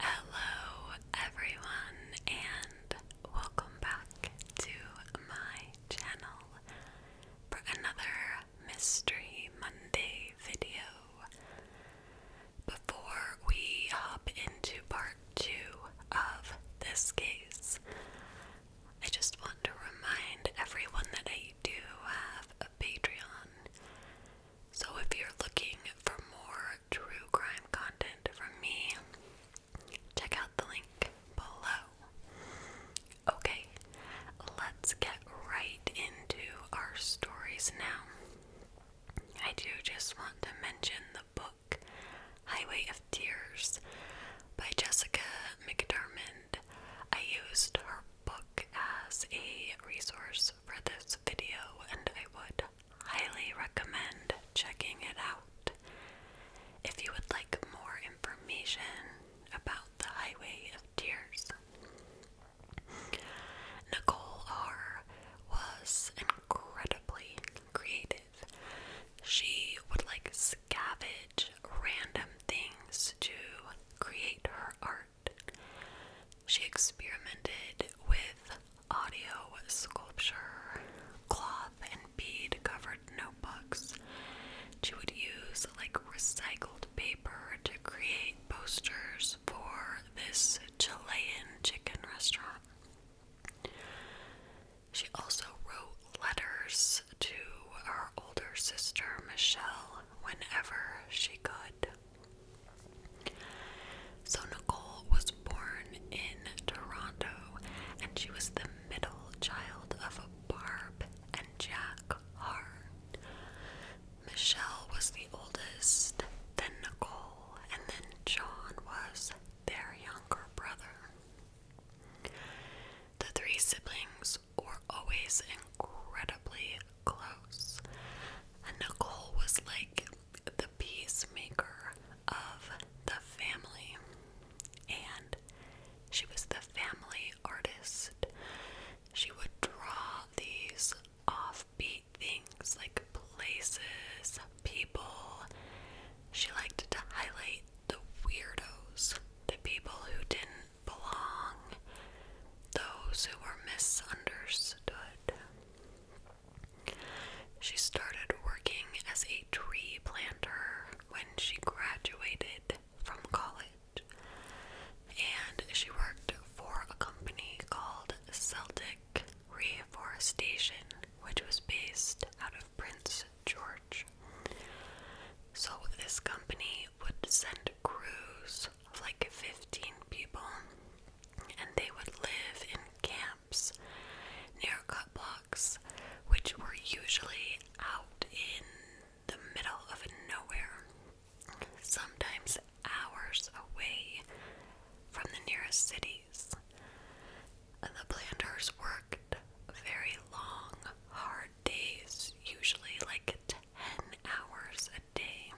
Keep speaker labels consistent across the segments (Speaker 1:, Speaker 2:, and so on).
Speaker 1: Hello, everyone, and welcome back to my channel for another Mystery Monday video. Before we hop into part two of this case, I just want to remind everyone that I do have a Patreon. So, if you're looking for more true crime content from me, check out the link below. Okay, let's get right into our stories now. I do just want to mention the book Highway of Tears by Jessica McDermott. I used her book as a resource for this video, and I would highly recommend checking it out. If you would like more information about the Highway of Tears, Nicole R. was incredibly creative. She would like scavenge random things to create her art. She experimented with audio sculpture, cloth, and bead covered notebooks. She would use like recycled paper to create posters for this Chilean chicken restaurant. She also wrote letters to her older sister Michelle whenever she could. So, Nicole was born in Toronto and she was the middle child of Barb and Jack Hart. Michelle was the oldest, then Nicole, and then John was their younger brother. The three siblings were always incredibly close. Nicole was like the peacemaker of the family. And she was the family artist. She would draw these offbeat things like places, people. She liked to highlight the weirdos, the people who didn't belong, those who were misunderstood. She started working as a tree planter when she graduated from college, and she worked for a company called Celtic Reforestation, which was based out of Prince George. So, this company would send crews like 15 people, and they would live in camps near cut blocks, which were usually out in the middle of nowhere, sometimes hours away from the nearest cities. And the planters worked very long, hard days, usually like 10 hours a day.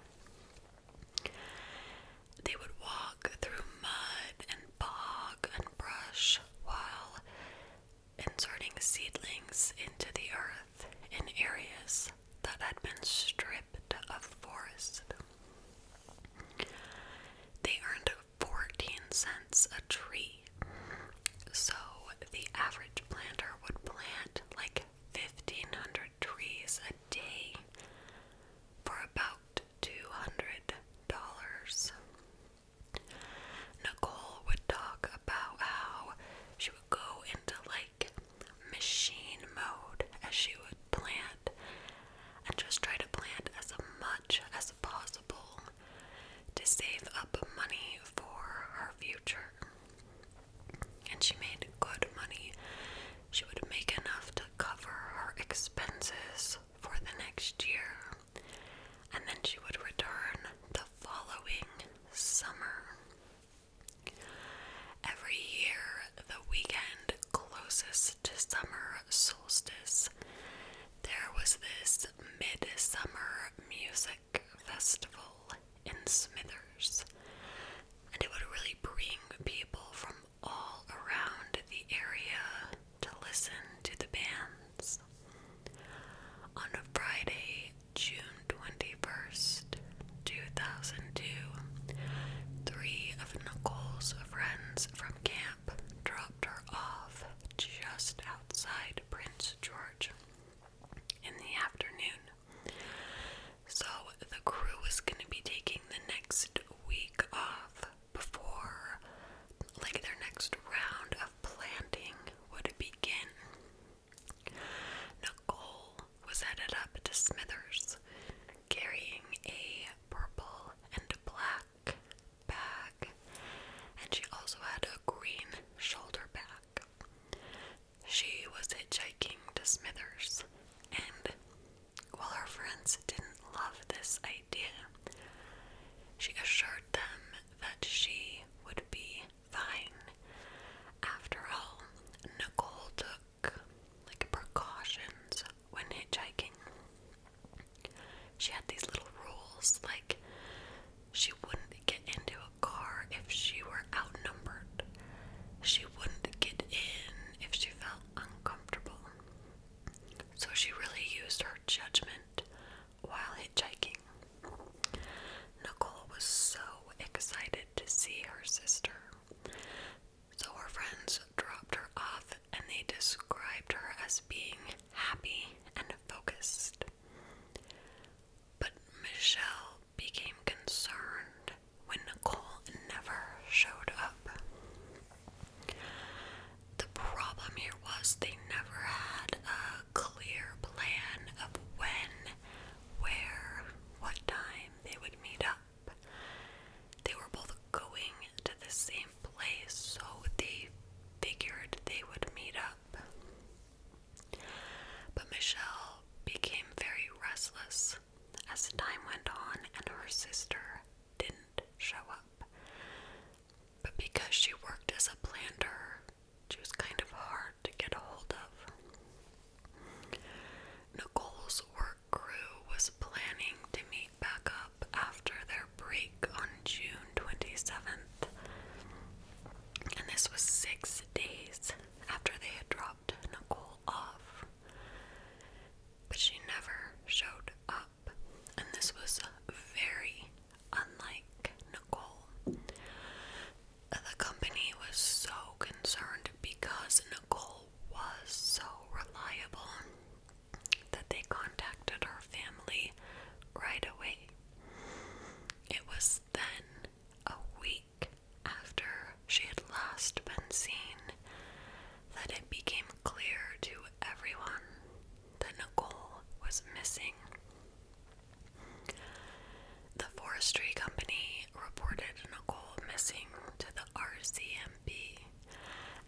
Speaker 1: They would walk through mud and bog and brush while inserting seedlings into the earth in areas that had been stripped of forest. They earned 14 cents a tree, so the average planter would plant like 1,500 trees a day for about $200. Nicole would talk about how she would go into like machine mode as she would plant and just try to plant as much as possible to save up money for her future. And she made good money. She would make enough to cover her expenses for the next year, and then she would return the following summer. Every year, the weekend closest to summer solstice, there was this midsummer music festival in Smithers, and it would really bring people from all around the area to listen to the bands. On a Friday, June 21st, 2002, three of Nicole's friends from camp dropped her off just outside Prince George in the afternoon. So the crew was gonna be taking the next week off before like their next round of planting would begin. Nicole was headed up to Smithers carrying a purple and black bag, and she also had a green shoulder bag. She was hitchhiking to Smithers, and while her friends didn't love this idea, she assured them that she would be fine. After all, Nicole took like precautions when hitchhiking. She had these little rules like she wouldn't get into a car if she were outnumbered. She wouldn't get in if she felt uncomfortable. So she really used her judgment while hitchhiking. Nicole was so excited to see her sister. So her friends dropped her off and they described her as being happy and focused. But Michelle became concerned when Nicole never showed up. The problem here was they never had a clear plan of when, where, what time they would meet up. They were both going to the same place, so they figured they would meet up. But Michelle became very restless house. As time went on and her sister didn't show up. But because she worked as a planter, she was kind of hard to get a hold of. Nicole's work crew was planning to meet back up after their break on June 27th. And this was six days after they had dropped Nicole off but she never showed up. And this was very unlike Nicole. The company was so concerned because Nicole was so reliable that they contacted her family right away. It was then a week after she had last been seen that it became clear to everyone that Nicole was missing. The forestry company reported Nicole missing to the RCMP,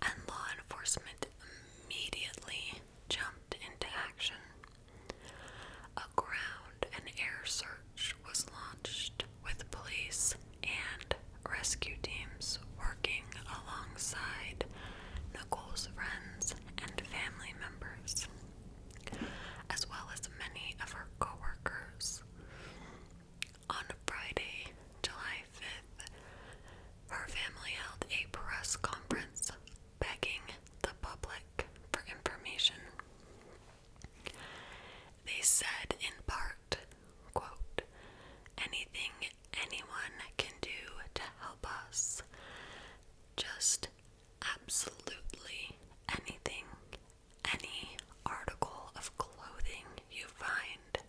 Speaker 1: and law enforcement immediately jumped into action. A ground and air search was launched with police and rescue teams working alongside Nicole's friends and family members, as well as many of her coworkers, workers. On Friday, July 5th, her family held a press conference begging the public for information. They said in part, quote, anything anyone can do to help us. Just absolutely anything, any article of clothing you find.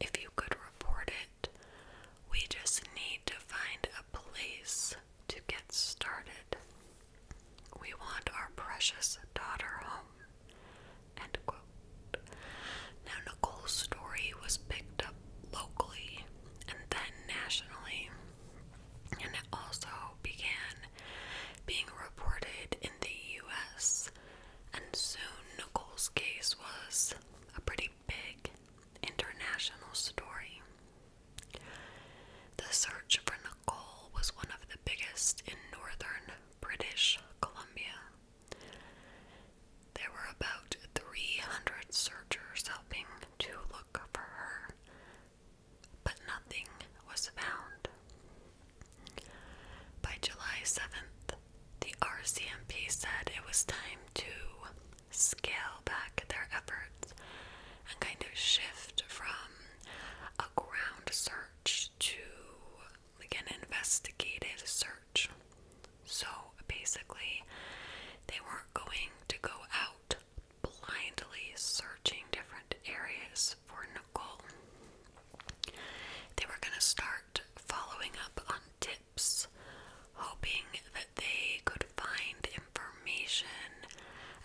Speaker 1: If you could report it, we just need to find a place to get started. We want our precious daughter home. Now, Nicole's story was picked up locally and then nationally, and it also began being reported in the US. And soon, Nicole's case was a pretty big international story. The search for Nicole was one of the biggest in northern British Columbia. There were about 300 searchers helping to look for her, but nothing was found. By July 7th, the RCMP said it was time to scale back their efforts and kind of shift from a ground search to like investigative search. So basically, they weren't going to go out blindly searching different areas for Nicole. They were going to start following up on tips, hoping that they could find information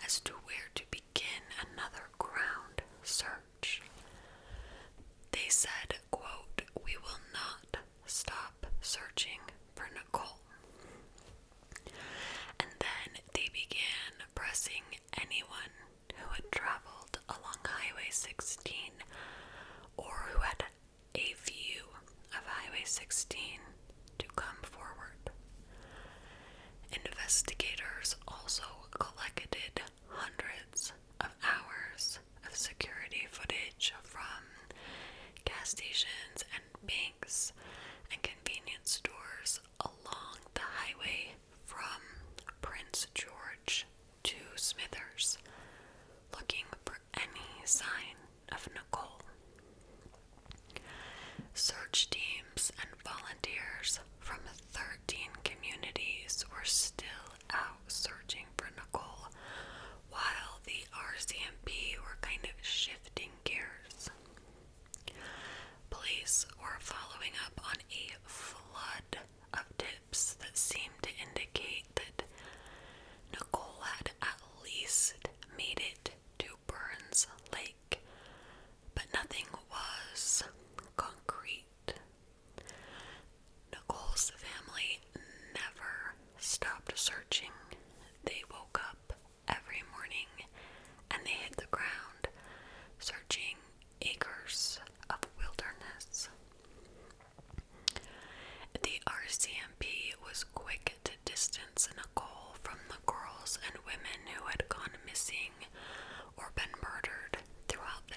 Speaker 1: as to where to begin another ground search. They said, quote, We will not stop searching for Nicole. And then they began pressing anyone who had traveled along Highway 16 or who had a view of Highway 16 to come forward. Investigators also collected hundreds hours of hours of security footage from gas stations and banks and convenience stores along the highway from Prince George to Smithers, looking for any sign of Nicole. Search teams and volunteers from 13 communities were still out searching for Nicole, while the RCMP were kind of shifting gears. Police were following up on a flood of tips that seemed to indicate that Nicole had at least made it to Burns Lake, but nothing was concrete. Nicole's family never stopped searching. They woke up every morning and they hit the ground, searching acres of wilderness. The RCMP was quick to distance Nicole from the girls and women who had gone missing or been murdered throughout the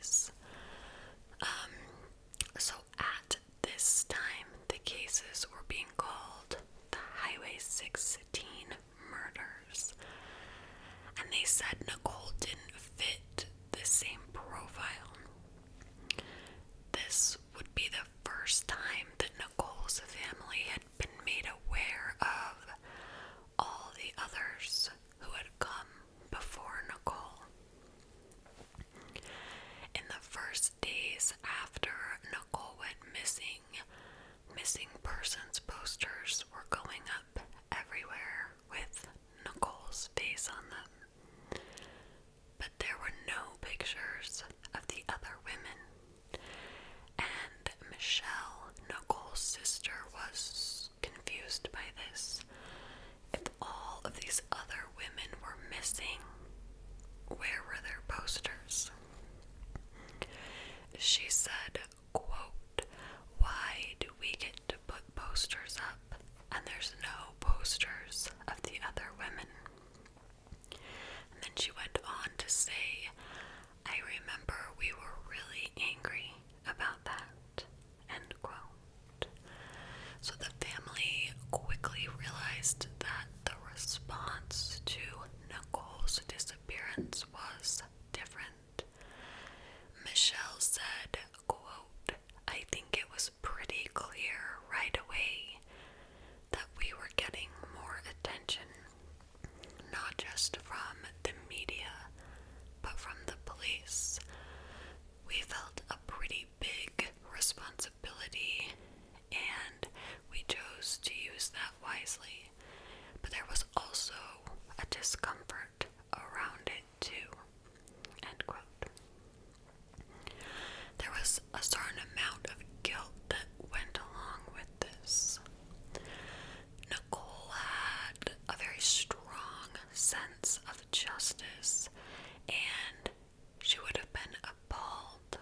Speaker 1: 90s. Um, so at this time, the cases were being called the Highway 16 murders. And they said Nicole didn't fit the same profile. This would be the first time that Nicole's family had been made aware of all the others who had come before Nicole. In the first days after Nicole went missing, missing persons posters were going up everywhere with Nicole's face on them. But there were no pictures of the other women. And Michelle, Nicole's sister, was confused by this. If all of these other women were missing, where were their posters? She said, quote, Why do we get to put posters up and there's no posters of the other women? And then she went on to say, I remember we were really angry about that. End quote. So the family quickly realized that the response to Nicole's disappearance was different. Michelle said, quote, I think it was pretty clear right away that we were getting more attention, not just from the media, but from the police. We felt a pretty big responsibility and we chose to use that wisely. But there was also a discomfort around it too. End quote. There was a certain amount of guilt that went along with this. Nicole had a very strong sense of justice and she would have been appalled.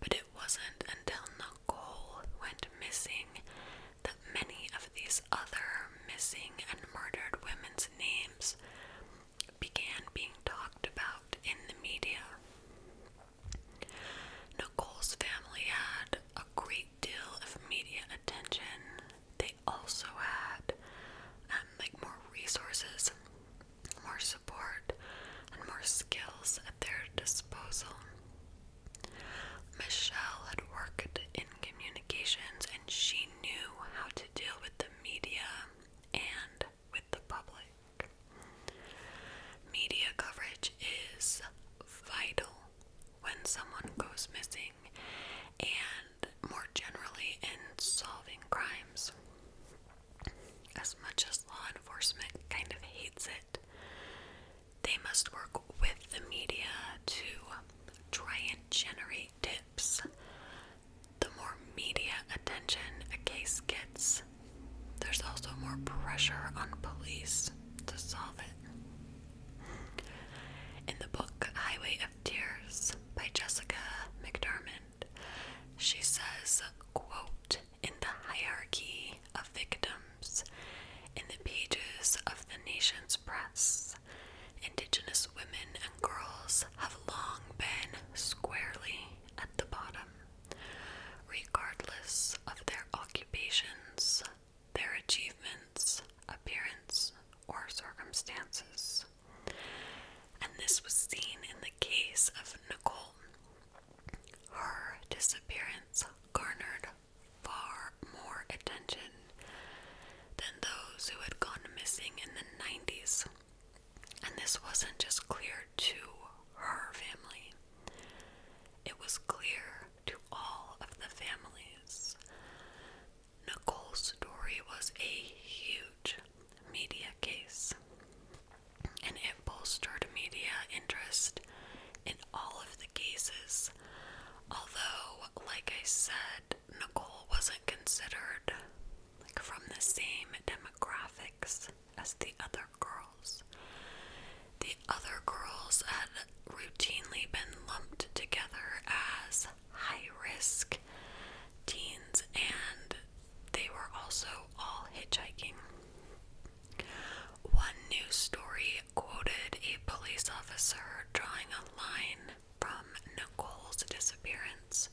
Speaker 1: But it wasn't until Nicole went missing that many of these other missing and murdered women's names began being talked about in the media. Nicole's family had a great deal of media attention. They also had um, like more resources, more support, and more skills at their disposal. Michelle had worked in communications and she knew how to deal with the media and with the public. Media coverage is vital when someone goes missing and more generally in solving crimes. As much as law enforcement kind of hates it, they must work with the media to try and generate tips. The more media attention a case gets, there's also more pressure on police to solve it. In the book Highway of Tears by Jessica McDermott, she says, quote, in the hierarchy of victims, in the pages of the nation's press, indigenous women and girls have long been squarely at the bottom, regardless of their occupations, their achievements, appearance, or circumstances. And this was seen in the case of Nicole. Her disappearance garnered far more attention than those who had gone missing in the 90s. And this wasn't just clear to her family, it was clear to all of the families. Nicole's story was a huge media case, and it bolstered media interest in all of the cases. Although, like I said, Nicole wasn't considered like from the same demographics as the other girls other girls had routinely been lumped together as high risk teens, and they were also all hitchhiking. One news story quoted a police officer drawing a line from Nicole's disappearance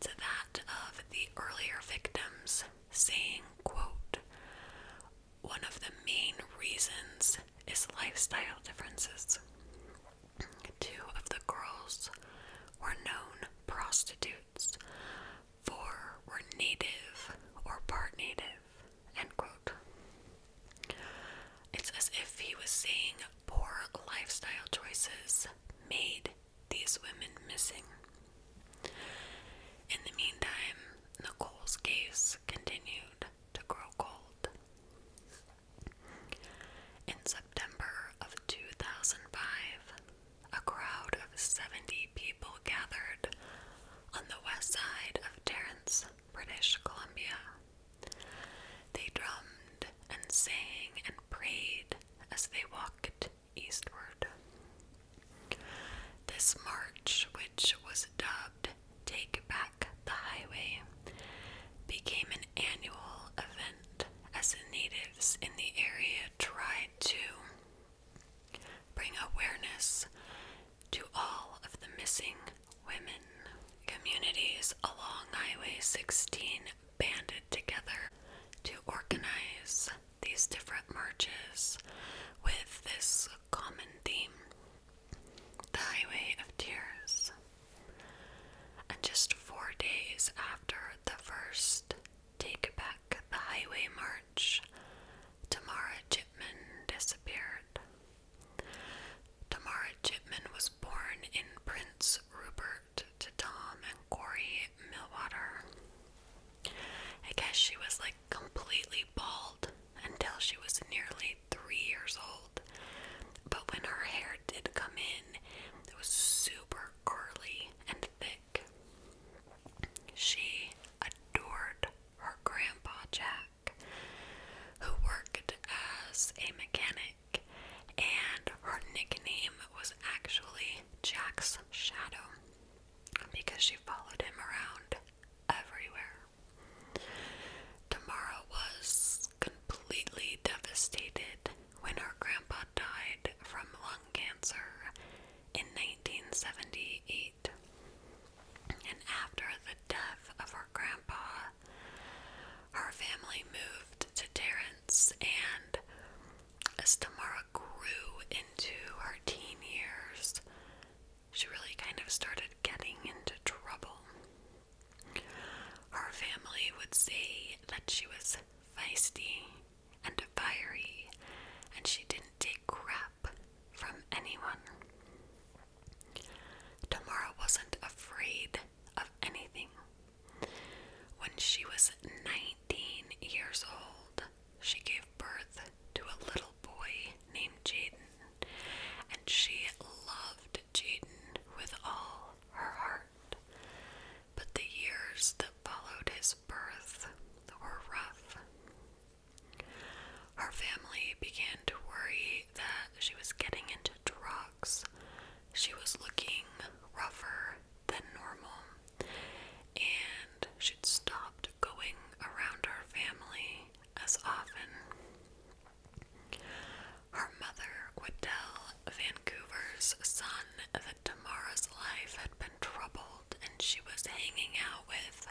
Speaker 1: to that of the earlier victims, saying, quote, one of the main reasons is lifestyle differences. Two of the girls were known prostitutes, four were native or part native. End quote. It's as if he was saying poor lifestyle choices made these women missing. In the meantime, Nicole's case continued to grow cold. In September of 2005, a crowd of 70 people gathered on the west side of Terrence, British Columbia. They drummed and sang and prayed as they walked eastward. This march, which was dubbed Take Back the Highway became an annual event as the natives in the area tried to bring awareness to all of the missing women. Communities along Highway 16 banded together to organize these different marches with this common theme the Highway of Tears. And just four days after the first Take Back the Highway march, Tamara Chipman disappeared. Tamara Chipman was born in Prince Rupert to Tom and Corey Millwater. I guess she was like completely bald until she was nearly three years old. But when her hair did come in, it was super curly and thick. She adored her grandpa Jack, who worked as a mechanic, and her nickname was actually Jack's Shadow because she followed him around everywhere. Tamara was completely devastated when her grandpa died from lung cancer in 1978. And after the death of her grandpa, her family moved to Terrence, and as Tamara grew into her teen years, she really kind of started getting into trouble. Her family would say that she was feisty and fiery, and she didn't take crap from anyone. Tamara wasn't afraid of anything. When she was 19 years old, she gave birth to a little boy named Jaden, and she loved Jaden with all her heart. But the years that followed his birth were rough. Her family began to worry that she was getting into drugs. She was looking rougher than normal, and she'd stopped going around her family as often. Her mother would tell Vancouver's son that Tamara's life had been troubled and she was hanging out with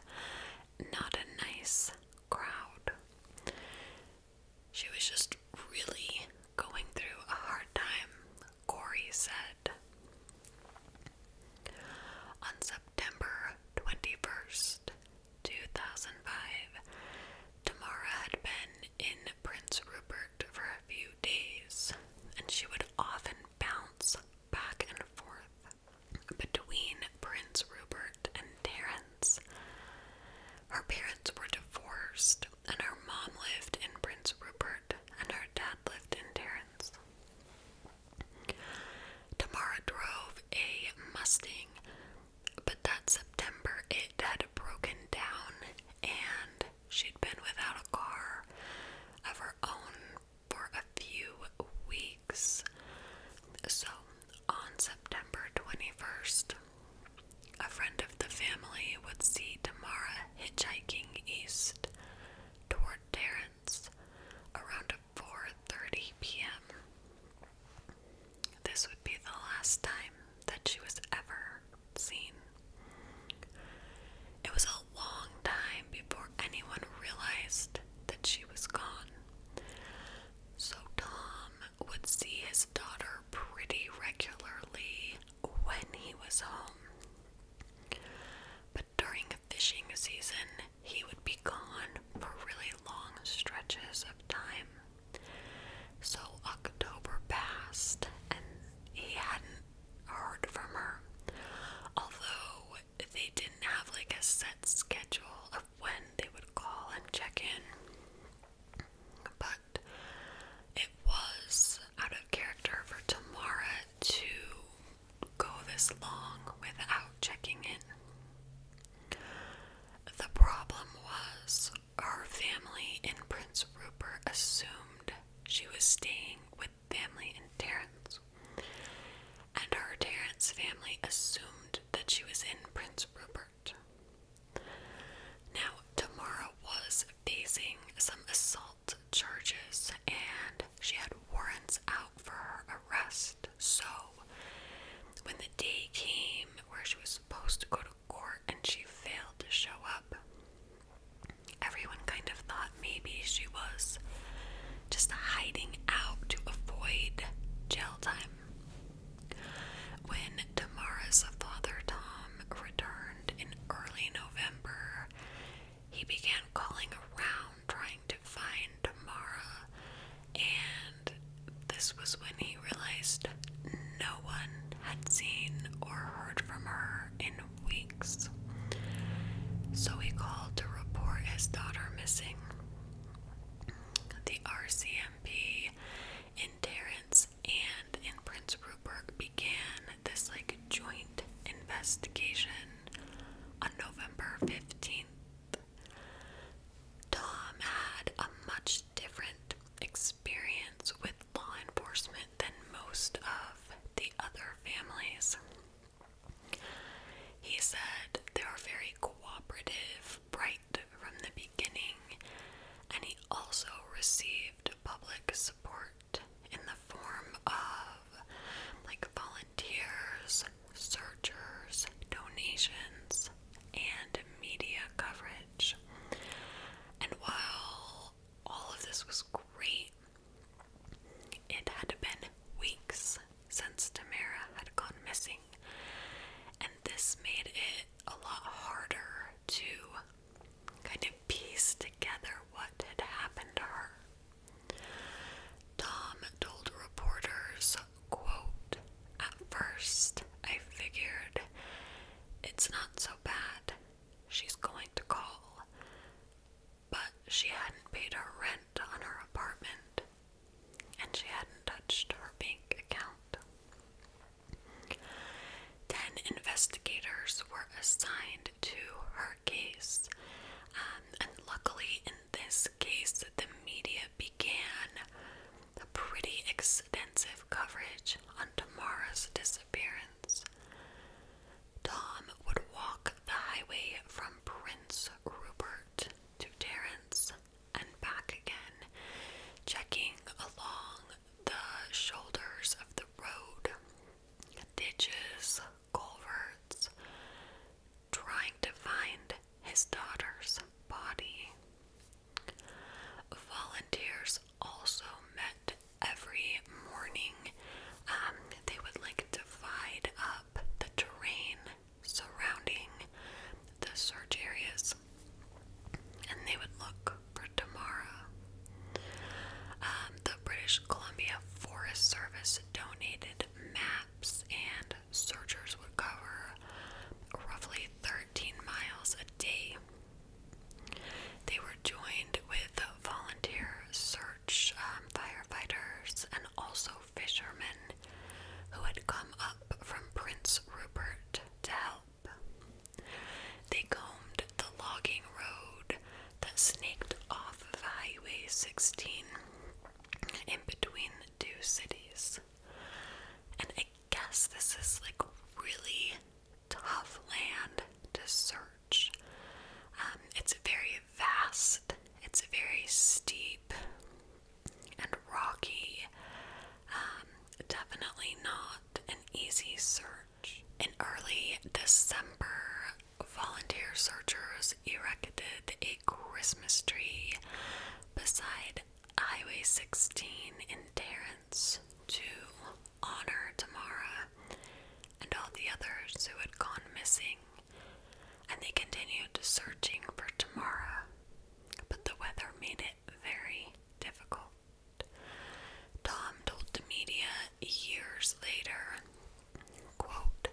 Speaker 1: not a nice crowd. She was just really going through a hard time, Corey said. On September 21st, 2005. Tamara had been in Prince Rupert for a few days, and she would often bounce back and forth between Prince Rupert and Terence. Her parents were divorced, and her mom lived in Prince Rupert, and her dad lived in Terence. Tamara drove a Mustang but that September, it had broken down, and she'd been without a car of her own for a few weeks. So, on September 21st, a friend of the family would see Tamara hitchhiking east toward Terrence around 4:30 p.m. This would be the last time that she was ever seen. It was a long time before anyone realized that she was gone. So Tom would see his daughter pretty regularly when he was home. But during fishing season, he would be gone for really long stretches of time. So October passed and he hadn't heard from her. Although they didn't have like a set schedule of when they would call and check in. But it was out of character for Tamara to go this long without checking in. The problem was her family in Prince Rupert assumed she was staying with family in Terrence, and her Terrence family assumed that she was in Prince Rupert. Now, Tamara was facing some assault charges, and she had warrants out for her arrest. So when the day came where she was supposed to go to court and she failed to show up, everyone kind of thought maybe she was just hiding out to avoid jail time. When Tamara's father Tom returned in early November, he began calling around trying to find Tamara and this was when he realized no one had seen or heard from her in weeks. So he called to report his daughter missing. The RCMP in Terrence and in Prince Rupert began this like joint investigation on November 15th, Tom had a much different experience with law enforcement than most of the other families. He said they were very cooperative right from the beginning, and he also received public support in the form of like volunteers searchers, donations, and media coverage. And while all of this was great, it had been weeks since Tamara had gone missing, and this made it a lot harder to kind of piece together what had happened to her. Tom told reporters at first, I figured it's not so bad. She's going to call. But she hadn't paid her rent on her apartment, and she hadn't touched her bank account. Ten investigators were assigned to her case, um, and luckily in this this case, the media began a pretty extensive coverage on Tamara's disappearance. Tom would walk the highway from Prince Rupert to Terrence and back again, checking along the shoulders of the road, ditches, culverts, trying to find his daughter's body. Volunteers also met every morning. Um, they would like divide up the terrain surrounding the search areas and they would look for Tamara. Um, the British Columbia Forest Service donated maps and searchers would cover roughly 13 miles a day. They were joined with volunteer search um, firefighters and also fishermen who had come up from Prince Rupert to help. They combed the logging road that snaked off of Highway 16 in between two cities. And I guess this is like really tough land to search. Um, it's very vast, it's very steep and rocky. Um, definitely not an easy search. In early December, volunteer searchers erected a Christmas tree beside Highway 16 in Terrence to honor Tamara and all the others who had gone missing, and they continued searching for Tamara, but the weather made it very difficult. Tom told the media years later, quote,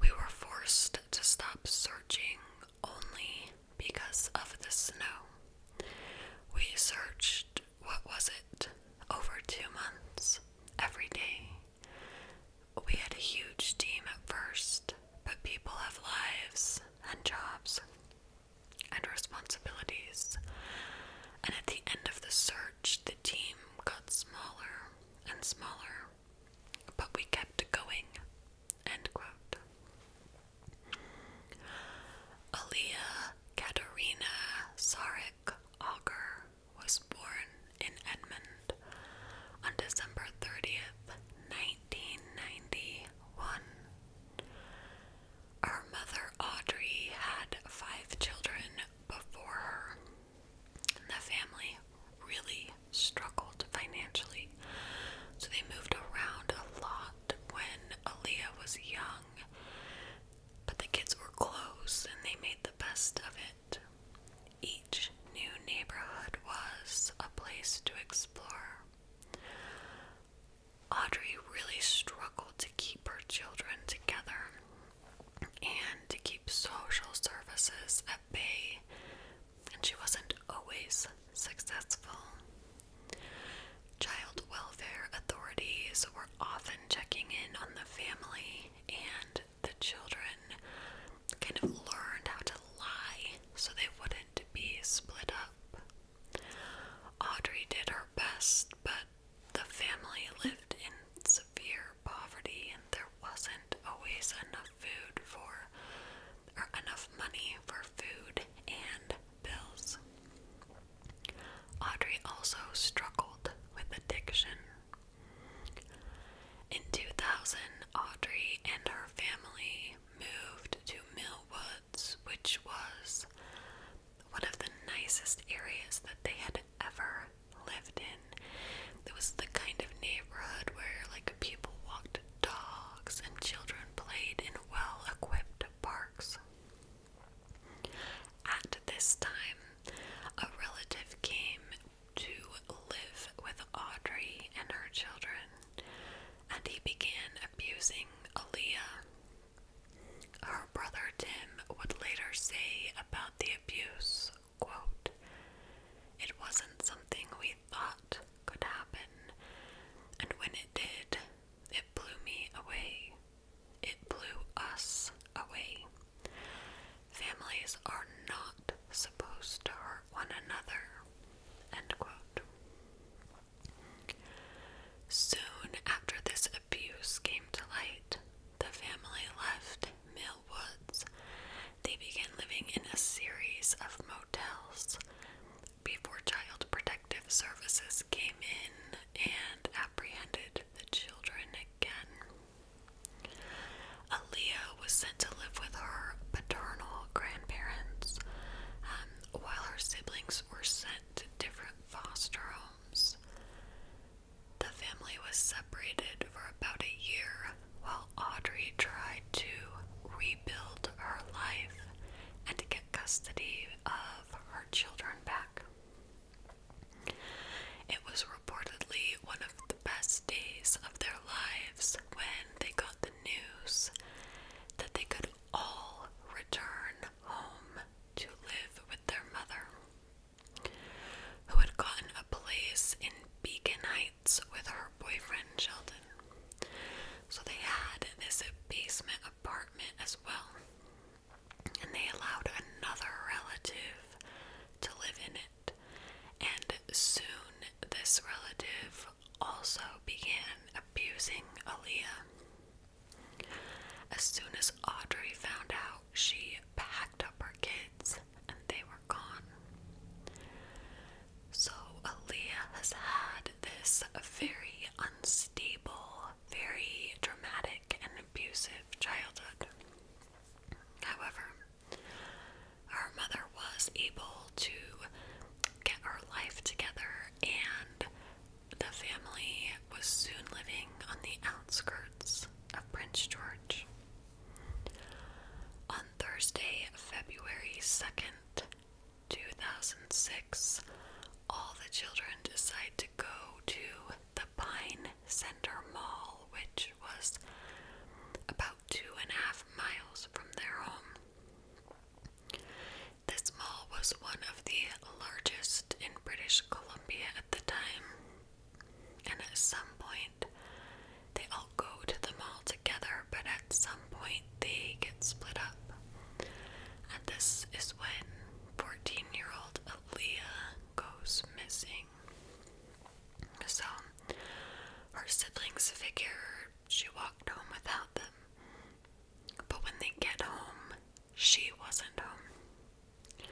Speaker 1: We were forced to stop searching only because of the snow. We searched, what was it, over two months, every day. We had a huge team at first, but people have lives and jobs and responsibilities. And at the end of the search, the team got smaller and smaller but we kept going. End quote. Aaliyah Katerina Sarek was born in Edmond on December 30th, 1991. Her mother Audrey had five children before her. The family really struggled financially, so they moved around a lot when Aaliyah was young. But the kids were close and they made the best of it. Each new neighborhood was a place to explore. Audrey really struggled to keep her children together and to keep social services bay, and she wasn't always successful. Child welfare authorities were often checking in on the family, and the children kind of learned how to lie so they wouldn't be split up. Audrey did her best, but the family lived in severe poverty, and there wasn't always enough food for or enough money for food and bills. Audrey also struggled with addiction. In 2000, Audrey and her family moved to Mill Woods, which was one of the nicest areas that they had ever lived in. It was the kind of neighborhood where like people walked dogs and children played in well equipped parks. At this time, a relative came to live with Audrey and her children, and he began abusing Aaliyah. Her brother Tim would later say about the abuse, quote, It wasn't something we thought could happen, and when it did, it blew me away. It blew us away. Families are not supposed to hurt one another. End quote. Soon after this abuse came to light, the family left Mill Woods. They began living in a series of motels, before Child Protective Services came in and apprehended the children again. Aaliyah was sent to live with her paternal grandparents, um, while her siblings were sent to different foster homes. The family was separated for about a year while Audrey tried to rebuild her life and to get custody of her children back. It was reportedly one of the best days of their lives when they got the news that they could all return home to live with their mother, who had gotten a place in Beacon Heights with her boyfriend Sheldon. So they had this basement apartment as well, and they allowed another relative to live in it. And soon this relative also began abusing Aaliyah. As soon as Audrey found out, she packed up her kids and they were gone. So Alia has had this very unstable, very dramatic, and abusive childhood. However, her mother was able to get her life together, and the family was soon living on the outskirts of Prince George. On Thursday, February 2nd, 2006, all the children decide to go to the Pine Center Mall, which was about two and a half miles from their home. This mall was one of the largest in British Columbia at the time, and at some point, they all go to the mall together, but at some point they get split up. And this is when 14 year old Aaliyah goes missing. So her siblings figure she walked home without them. But when they get home, she wasn't home.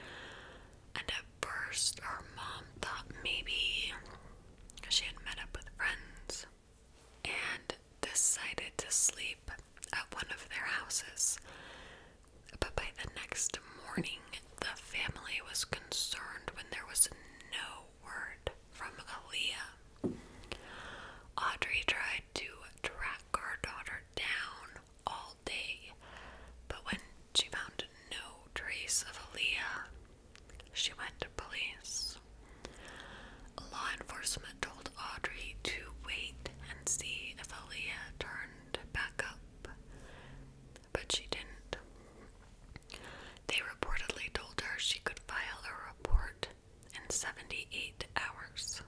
Speaker 1: And at first, her mom thought maybe she had met up with friends and decided to sleep at one of their houses. But by the next morning, the family was concerned when there was no word from Aaliyah. Audrey tried to track her daughter down all day, but when she found no trace of Aaliyah, she went to police. Law enforcement told Audrey to wait and see if Aaliyah turned back up, but she didn't. They reportedly told her she could file a report in 78 hours.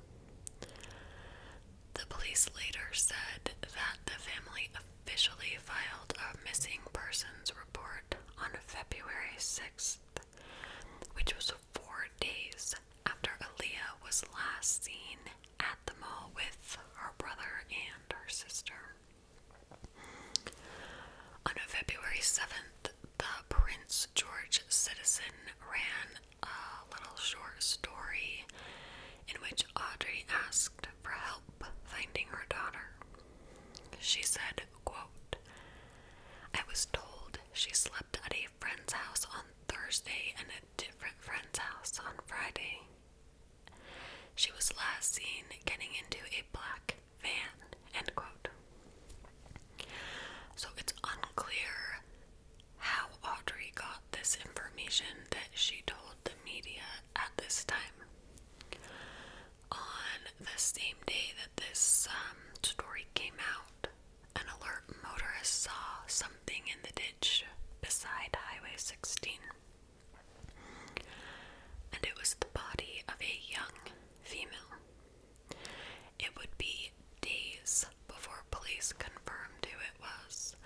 Speaker 1: The police later said that the family officially filed a missing persons report on February 6th which was four days after Alia was last seen at the mall with her brother and her sister. On February 7th, the Prince George Citizen ran a little short story in which Audrey asked for help finding her daughter. She said, quote, I was told she slept at a friend's house on Thursday and a different friend's house on Friday. She was last seen getting into a black van. End quote. So it's unclear how Audrey got this information that she told the media at this time. On the same day that this um, story came out, an alert motorist saw something in the ditch beside Highway 16. And it was the body of a young female. It would be days before police confirmed who it was.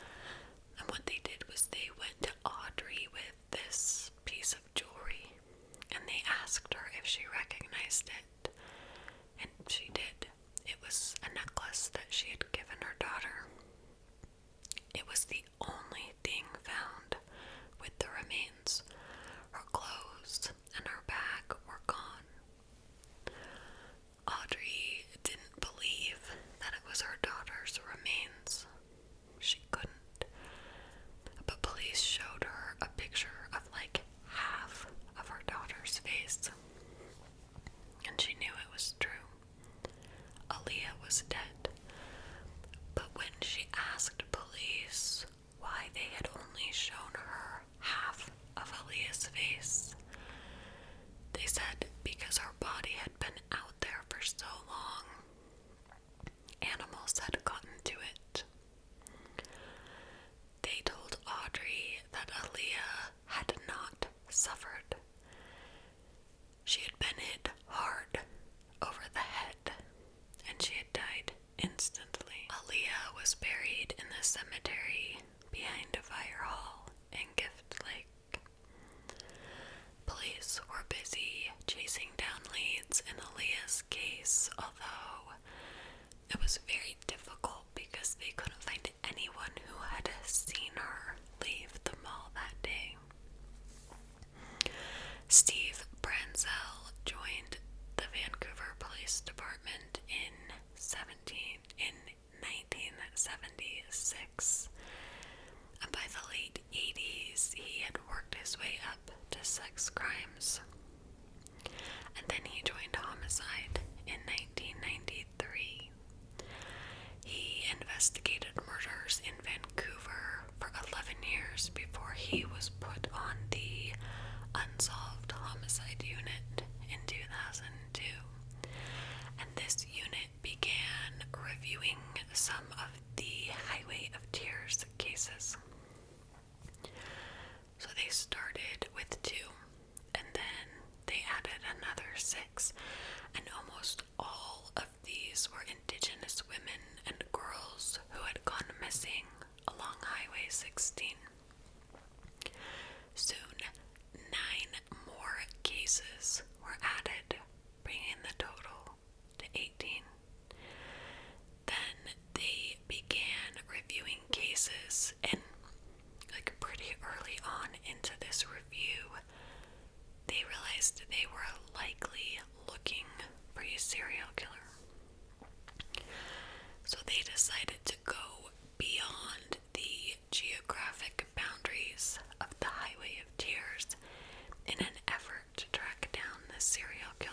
Speaker 1: And what they did was they went to Audrey with this piece of jewelry and they asked her if she recognized it, and she did. It was a necklace that she had given her daughter. It was the only thing found with the remains. Her clothes and her bag were gone. Audrey didn't believe that it was her daughter's remains. She couldn't but police showed her a picture of like half of her daughter's face, and she knew it was true. Aaliyah was dead. But when she asked police why they had only shown her half of Aaliyah's face, they said because her body had been out there for so long animals had gotten to it. They told Audrey that Aaliyah had not suffered. She had been hit hard over the head and she had died instantly. Aaliyah was buried in the cemetery behind a Fire Hall in Gift Lake. Police were busy chasing down leads in Aaliyah's case, although it was very difficult because they couldn't find anyone who had seen her leave the mall that day. Steve Branzell joined the Vancouver Police Department in 17 in 1976. And by the late 80s, he had worked his way up to sex crimes and then he joined homicide in 1993. He investigated murders in Vancouver for 11 years before he was put on the Unsolved Homicide Unit in 2002. And this unit began reviewing some of the Highway of Tears cases. So they started with two, and then they added another six, and almost all of these were indigenous women and girls who had gone missing along Highway 16. Soon, nine more cases were added, bringing the total to 18. Then they began reviewing cases, and like pretty early on into this review, they realized they were likely looking for a serial killer. So they decided to go beyond the geographic boundaries of the Highway of Tears in an effort to track down the serial killer.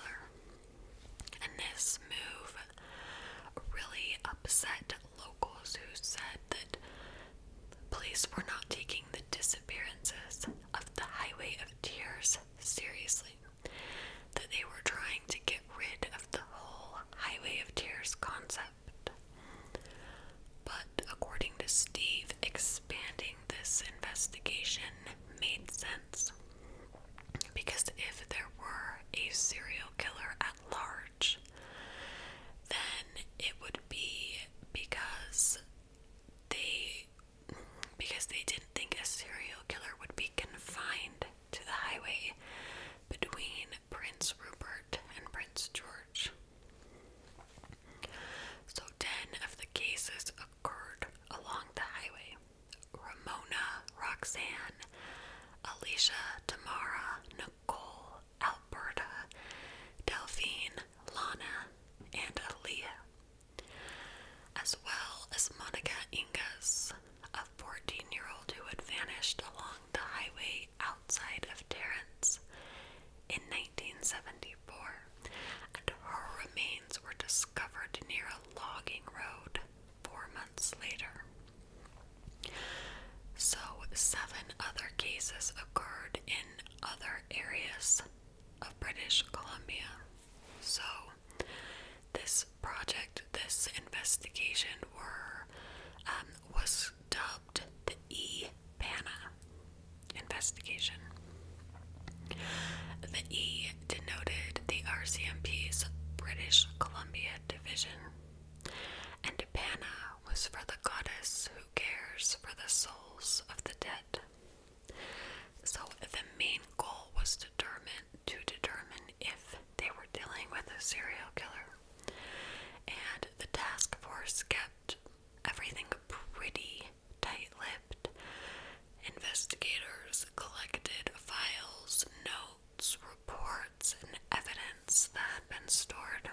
Speaker 1: And this move really upset locals who said that police were not taking the disappearances of the Highway of Tears seriously, that they were trying to get rid of the whole Highway of Tears concept. But according to Steve, expanding this investigation made sense. Because if there were a serial killer at large, then it would be because they because they didn't think a serial killer would be confined to the highway between Prince Rupert and Prince George. So 10 of the cases occurred along the highway. Ramona, Roxanne, Alicia, Tamara, Nicole, Alberta, Delphine, Lana, and Aaliyah, as well as Monica Ingas, a 14 year old who had vanished along the highway outside of Terrence in 1974, and her remains were discovered near a logging road four months later. So, seven other cases occurred in other areas of British Columbia. So, this project, this investigation, were um, was dubbed the E. Pana investigation. The E denoted the RCMP's British Columbia Division, and Pana was for the goddess who cares for the souls of the dead. So the main goal was determine, to determine if they were dealing with a serial killer. And the task force kept everything pretty tight lipped Investigators collected files, notes, reports, and evidence that had been stored.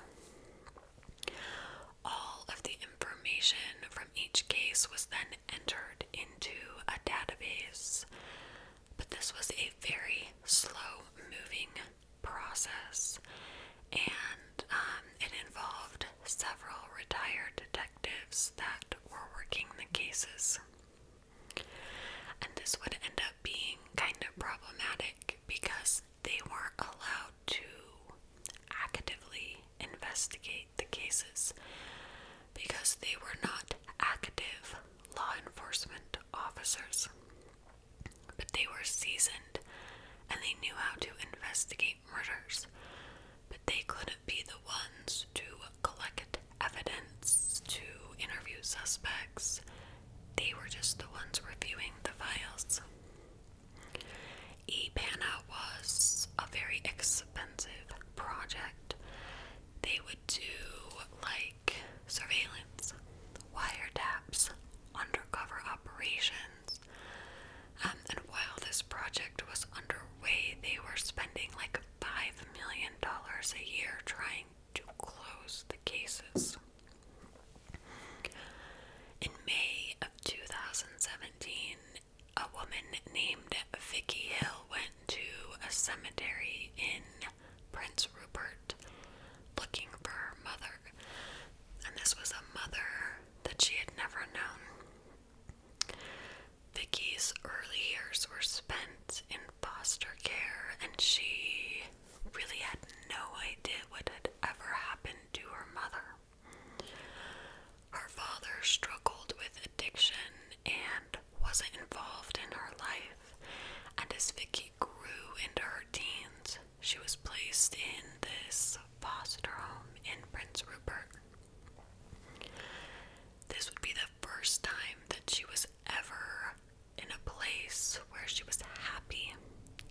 Speaker 1: All of the information from each case was then entered into a database, but this was a very slow moving process and um, it involved several retired detectives that were working the cases. And this would end up being kind of problematic because they weren't allowed to actively investigate the cases because they were not active law enforcement officers. But they were seasoned and they knew how to investigate murders, but they couldn't be the ones to collect evidence to interview suspects. They were just the ones reviewing the files. EPANA was a very expensive project. They would do like surveillance, wiretaps, undercover operations. Um, and while this project was underway, they were spending like like $5 million a year trying to close the cases. In May of 2017, a woman named Vicky Hill went to a cemetery in Prince Rupert looking for her mother. And this was a mother that she had never known. Vicky's early years were spent in foster care, and she really had no idea what had ever happened to her mother. Her father struggled with addiction and wasn't involved in her life, and as Vicky grew into her teens, she was placed in this foster home in Prince Rupert. This would be the first time that she was ever in a place where she was happy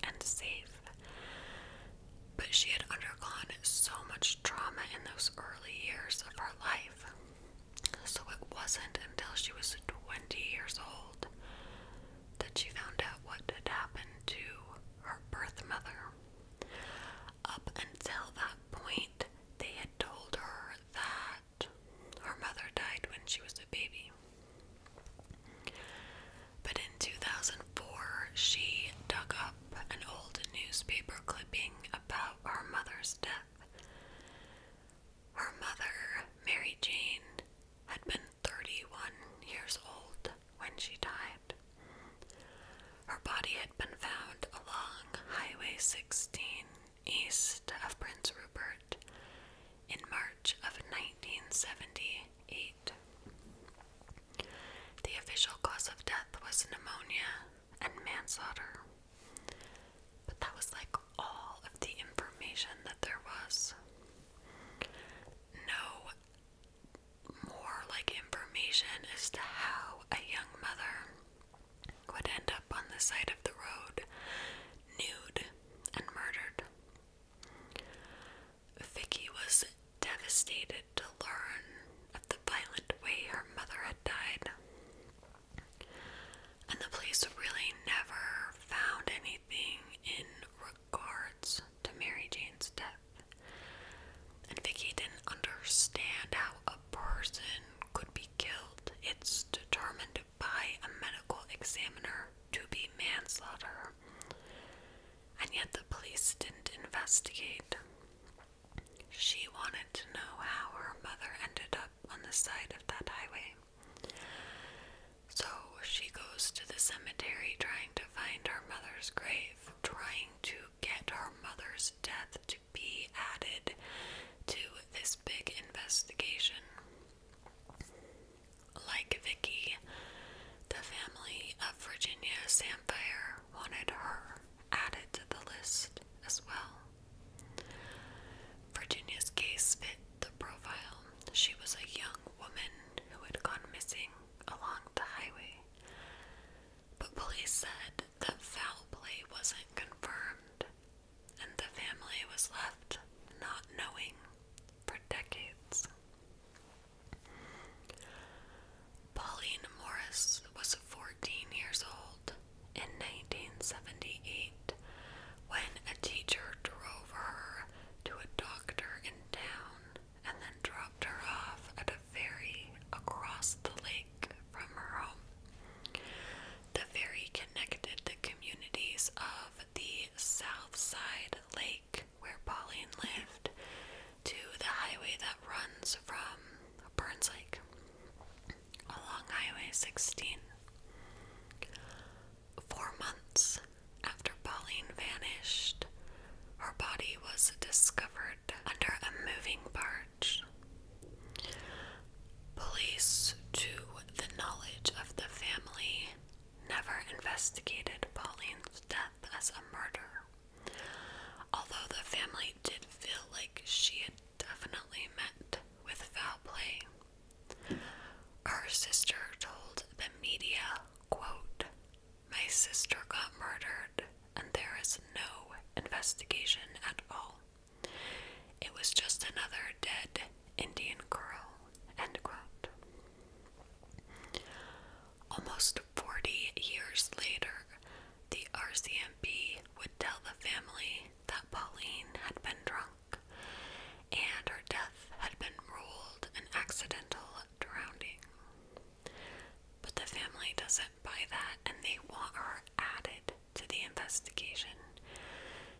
Speaker 1: and safe. But she had undergone so much trauma in those early years of her life. So it wasn't until she was 20 years old that she found out what had happened to her birth mother. Up until that point, they had told her that her mother died when she was a baby. But in 2004, she dug up an old newspaper clipping about her mother's death. Her mother, Mary Jane, had been 31 years old when she died. Her body had been found along Highway 16 east of Prince Rupert in March of 1978. The official cause of death was pneumonia and manslaughter. But that was like all of the information that there was. No more like information as to how a young mother would end up on the side of the road, nude and murdered. Vicky was devastated to learn of the violent way her mother had died. And the police really never found anything in regards to Mary Jane's death. And Vicky didn't understand how a person could be killed. It's determined by a medical examiner to be manslaughter. And yet the police didn't investigate. She wanted to know how her mother ended up on the side of that highway. So she goes to the cemetery trying to find her mother's grave, trying to get her mother's death to be added to this big investigation. Like Vicky, the family of Virginia Sampfire wanted her added to the list as well. Virginia's case fit the profile. She was a young woman who had gone missing along the highway. But police said that foul play wasn't confirmed and the family was left not knowing for decades. Pauline Morris was 14 years old in 1978 when a teacher drove her to a doctor in town and then dropped her off at a ferry across the lake from her home. The ferry connected the communities of the South Side Lake, where Pauline lived, to the highway that runs from Burns Lake along Highway 16. Four months after Pauline vanished, her body was discovered under a moving part Police, to the knowledge of the family, never investigated Pauline's death as a murder. Although the family did feel like she had definitely met with foul play. Her sister told the media, quote, My sister got murdered and there is no investigation at all. It was just another dead Indian girl. End quote. Almost 40 years later, the RCMP would tell the family that Pauline had been drunk and her death had been ruled an accidental drowning. But the family doesn't buy that and they want her added to the investigation.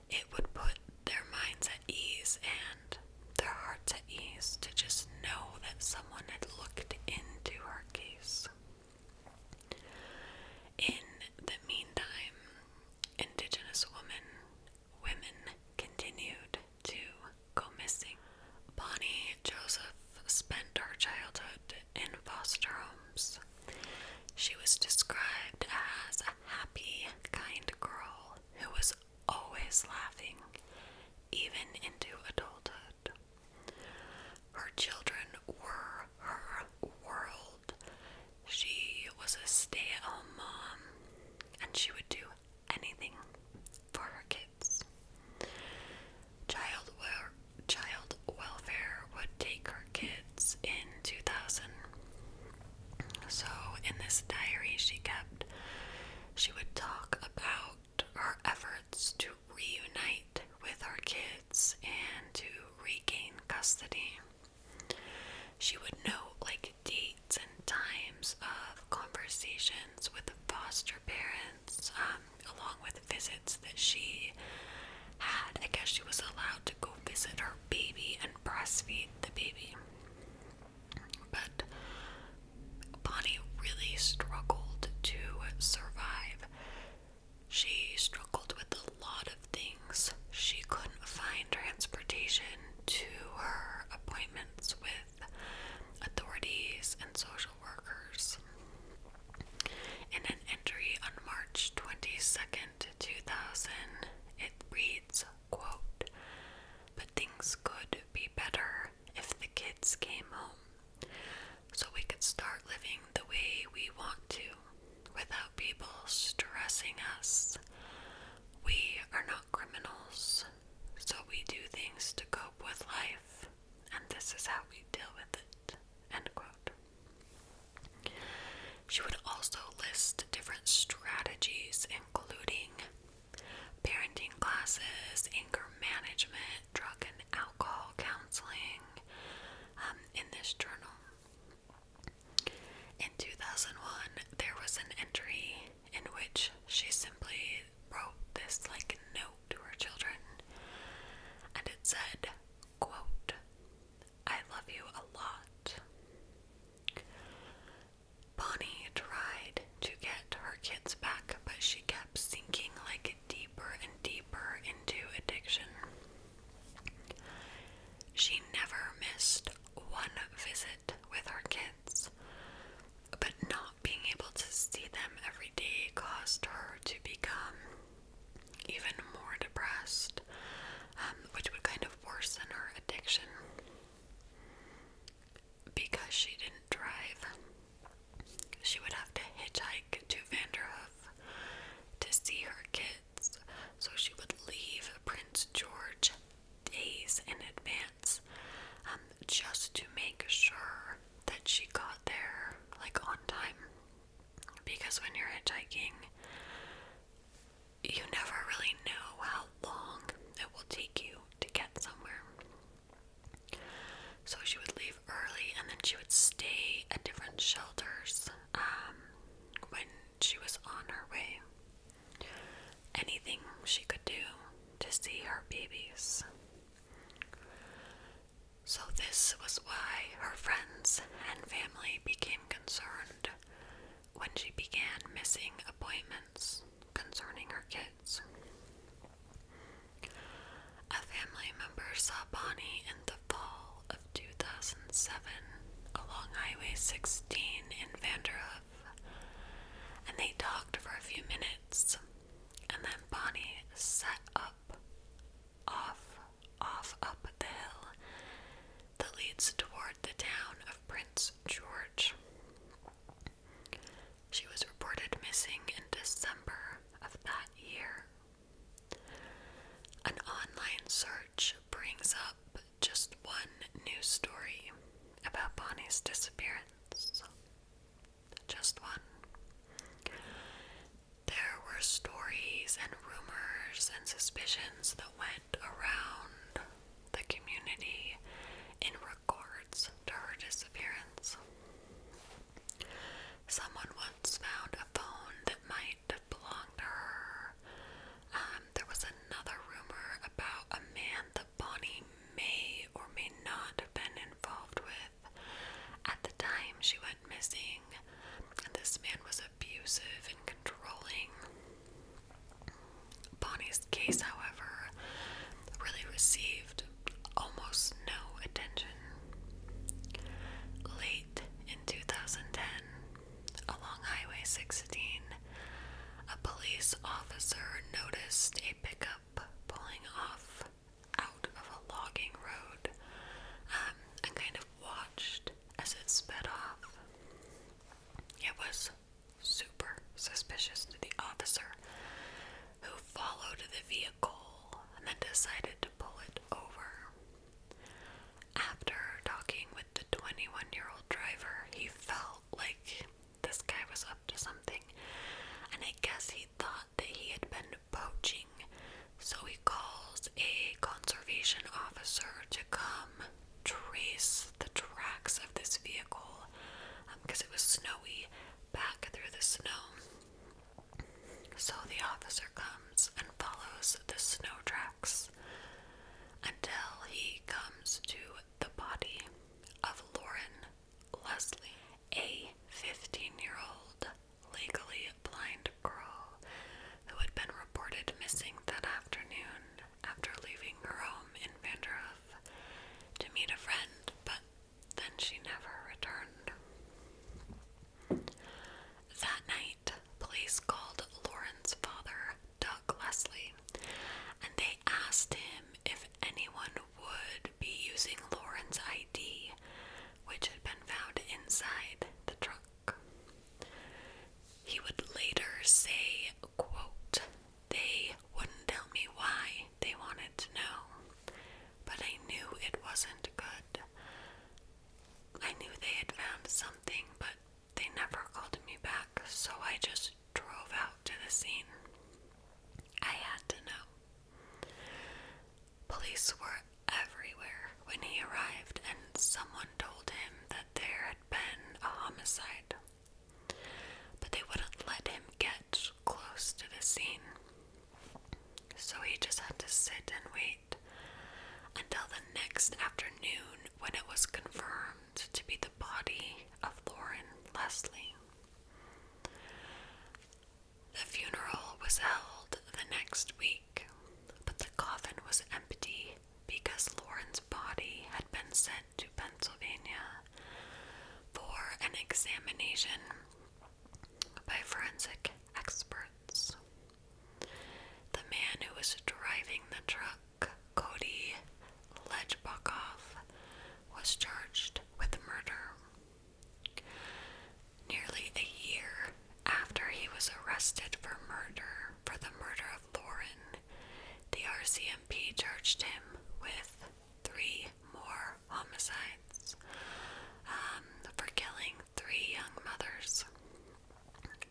Speaker 1: It would put their minds at ease and their hearts at ease to just know that someone had looked into her case. In the meantime, Indigenous women women continued to go missing. Bonnie Joseph spent her childhood in foster homes. She was described as a happy, kind girl who was always laughing, even into adulthood. Her children were her world. She was a stay at home mom, and she would do anything for her kids. Child child welfare would take her kids in 2000. So, in this diary she kept, she would talk about her efforts to reunite with her kids and to regain custody. She would note like dates and times of conversations with the foster parents, um, along with visits that she had. I guess she was allowed to go visit her baby and breastfeed the baby. But Bonnie really struggled to survive. She struggled with a lot of things. She couldn't find transportation to her appointments with authorities and social workers. In an entry on March 22nd, 2000, it reads, quote, But things could be better if the kids came home, so we could start living the way we want to without people stressing us. We are not criminals, so we do things to cope with life, and this is how we deal with it. End quote. She would also list different strategies, including parenting classes, anger management, drug and alcohol counseling, um, in this journal. In 2001, there was an entry in which she simply wrote this like note to her children, and it said, quote, I love you a lot. Bonnie tried to get her kids back, but she kept sinking like deeper and deeper into addiction. She never missed one visit with her kids, but not being able to see them every day caused her to become even more depressed, um, which would kind of worsen her addiction because she didn't drive. She would have to hitchhike to Vanderhoof to see her kids, so she would leave Prince George days in advance um, just to make sure that she got there like on time because when you're hitchhiking, you never really know how long it will take you to get somewhere. So she would leave early and then she would stay at different shelters um, when she was on her way. Anything she could do to see her babies. So, this was why her friends and family became concerned when she began missing appointments concerning her kids. A family member saw Bonnie in the fall of 2007 along Highway 16 in Vanderhoof, and they talked for a few minutes, and then Bonnie set up off off up the hill that leads toward the town of Prince George. She was reported missing in December of that year. An online search brings up just one news story about Bonnie's disappearance. Just one. There were stories and rumors and suspicions that went around the community in regards to her disappearance. Someone once found a phone that might have belonged to her. Um, there was another rumor about a man that Bonnie may or may not have been involved with. At the time she went missing, and this man was a abusive and controlling. Bonnie's case, however, really received almost no attention. Late in 2010, along Highway 16, a police officer noticed a pickup pulling off out of a logging road um, and kind of watched as it sped off. It was super suspicious to the officer who followed the vehicle and then decided to pull it over. After talking with the 21 year old driver, he felt like this guy was up to something, and I guess he thought that he had been poaching so he calls a conservation officer to come trace the tracks of this vehicle because um, it was snowy back through the snow. So the officer comes and follows the snow tracks until he comes to the body of Lauren Leslie, a 15 year old legally blind girl who had been reported missing that afternoon after leaving her home in Vanderhoof to meet a friend, but then she never returned. That night, police called Lauren's father, Doug Leslie, and they asked him if anyone would be using Lauren's ID, which had been found inside the trunk. He would later say, quote, they wouldn't tell me why they wanted to know, but I knew it wasn't good. I knew they had found something, but they never called me back, so I just drove out to the scene. I had to know. Police were everywhere when he arrived, and someone told him that there had been a homicide. But they wouldn't let him get close to the scene. So he just had to sit and wait until the next afternoon when it was confirmed to be the body of Lauren Leslie. The funeral was held the next week but the coffin was empty because Lauren's body had been sent to Pennsylvania for an examination by forensic experts. The man who was driving the truck, Cody Lejbakov, was charged with murder. Nearly a year after he was arrested for murder for the murder of Lauren, the RCMP charged him with three more homicides um, for killing three young mothers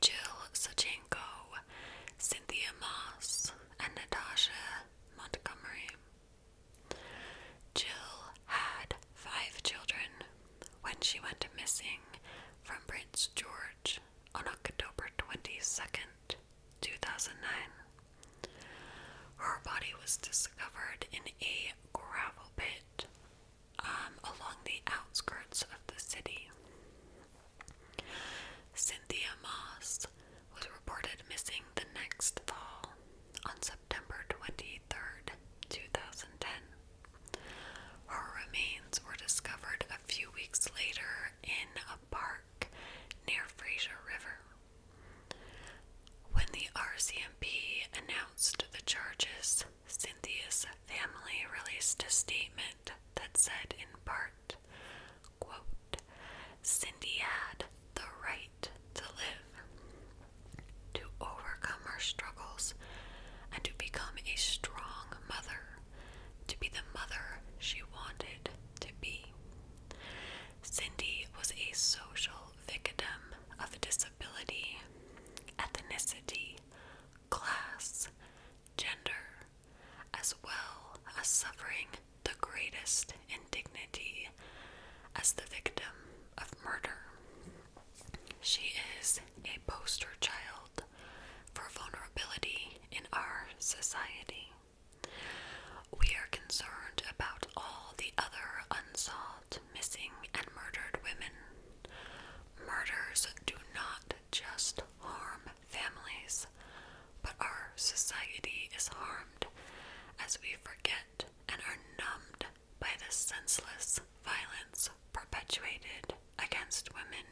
Speaker 1: Jill Sachenko, Cynthia Moss, and Natasha Montgomery. Jill had five children when she went missing from Prince George on October 22nd, 2009. Her body was discovered in a gravel pit um, along the outskirts of the city. Cynthia Moss was reported missing the next fall on September 23rd, 2010. Her remains were discovered a few weeks later in a park near Fraser River. When the RCMP announced the charges, Cynthia's family released a statement that said, in part, Cindy had the right to live, to overcome her struggles, and to become a strong mother, to be the mother she wanted to be. Cindy was a social victim of disability, ethnicity, class, gender, as well as suffering the greatest indignity as the victim of murder. She is a poster child for vulnerability in our society. We are concerned about all the other unsolved, missing, and murdered women. Murders do not just harm families, but our society is harmed as we forget and are numbed by the senseless violence violence perpetuated against women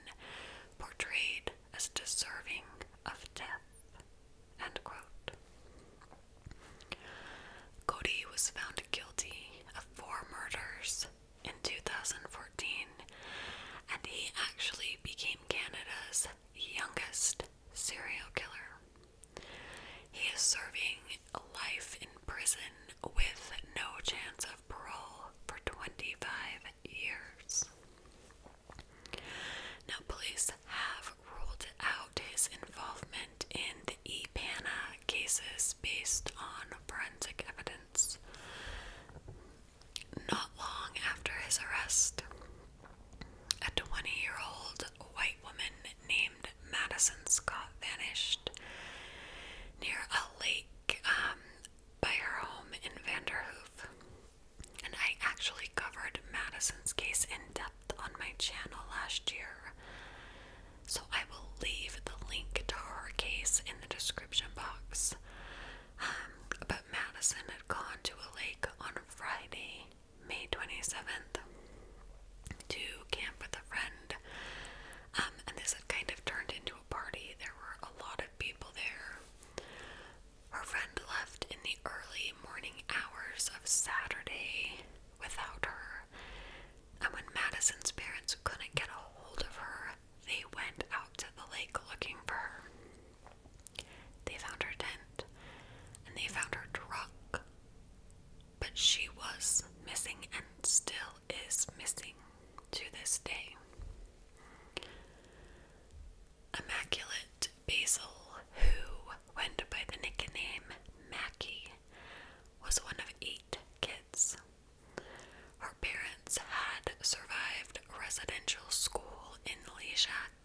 Speaker 1: portrayed as deserving of death. End Cody was found guilty of four murders in 2014, and he actually became Canada's youngest serial killer. He is serving life in prison with no chance of parole for 25 years. Now, police have ruled out his involvement in the EPANA cases based on forensic evidence. Not long after his arrest, a 20 year old white woman named Madison Scott vanished near a lake um, by her home in Vanderhoof. And I actually covered Madison's case in depth on my channel last year. So I will leave the link to her case in the description box. Um, but Madison had gone to a lake on Friday, May 27th, to camp with a friend um, and this had kind of turned into a party. There were a lot of people there. Her friend left in the early morning hours of Saturday without her. And when Madison's parents couldn't get a hold of her, they went out to the lake looking for her. They found her tent and they found her truck. But she was missing and still is missing to this day. Immaculate Basil, who went by the nickname Mackie, was one of eight kids. Her parents had survived residential school in Leishac,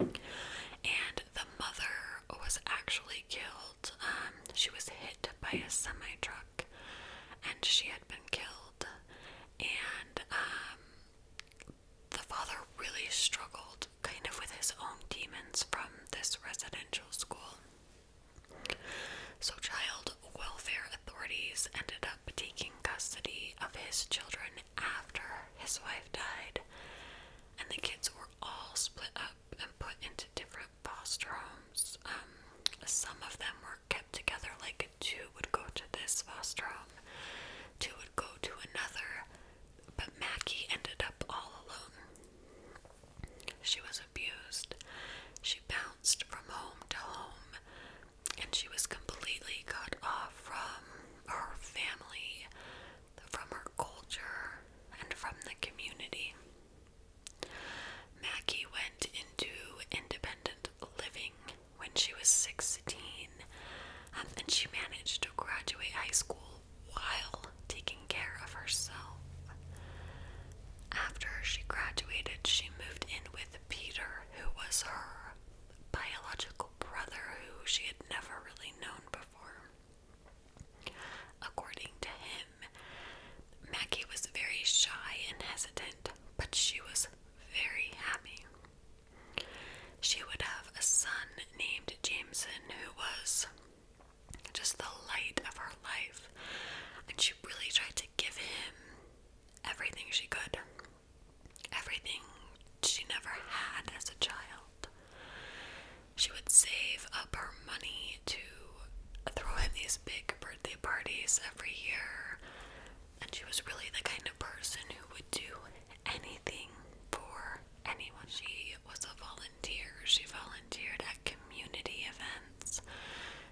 Speaker 1: and the mother was actually killed. Um, she was hit by a semi truck and she had been killed and um the father really struggled kind of with his own demons from this residential school. So child welfare authorities ended up taking custody of his children after his wife died and the kids were all split up and put into different foster homes. Um, some of them were kept together, like two would go to this foster home, two would go to another, but Mackie ended up all alone. She was abused, she bounced from home to home, and she was completely cut off from her family, from her culture, and from the community. Mackie went into independent living when she was 16, um, and she managed to graduate high school while taking care of herself. After she graduated, she moved in with Peter, who was her biological brother, who she had never really known before. According to him, Maggie was very shy and hesitant, but she was very happy. She would have a son named Jameson who was just the light of her life, and she really tried to give him everything she could, everything she never had as a child. She would save up her money to throw him these big birthday parties every year, and she was really the kind of person who would do anything for anyone. She was a volunteer, she volunteered at community events,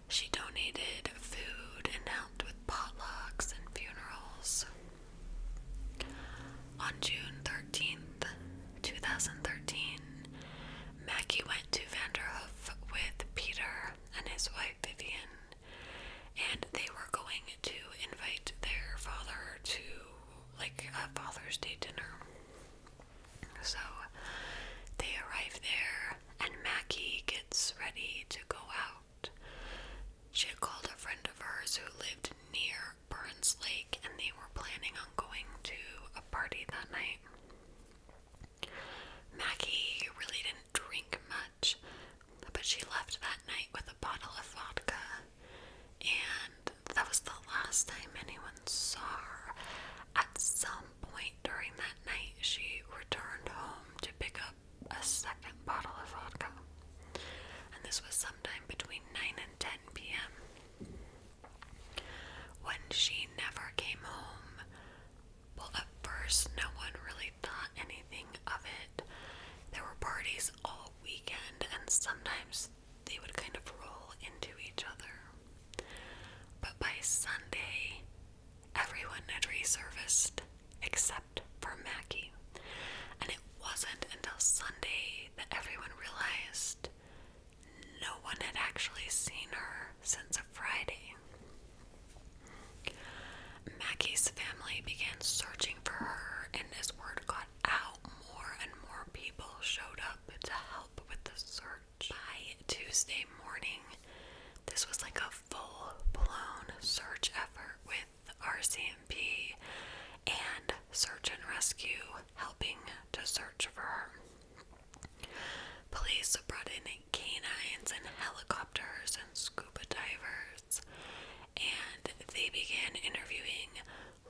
Speaker 1: she donated food and helped with potlucks and funerals. On June 13th, 2013, Maggie went to Vanderhoof with Peter and his wife Vivian, and they were going to invite their father to like a Father's Day dinner. So they arrive there, and Mackie gets ready to go out. She had called a friend of hers who lived near Burns Lake, and they were planning on going to a party that night. Maggie really didn't drink much, but she left that night with a bottle of vodka, and that was the last time anyone saw her. At some point during that night, she returned home to pick up a second bottle of vodka, and this was sometime between 9 and 10 p.m. When she never came home, well, at first, no one really thought anything of it. There were parties all weekend, and sometimes they would kind of roll into each other. But by Sunday, everyone had resurfaced except for Mackie. And it wasn't until Sunday that everyone realized no one had actually seen her since Friday. Mackie's family began searching for her, and as word got out, more and more people showed up to help with the search. By Tuesday morning, this was like a full blown search effort with RCMP and search and rescue helping to search for her. Police brought in canines and helicopters and scuba divers, and they began interviewing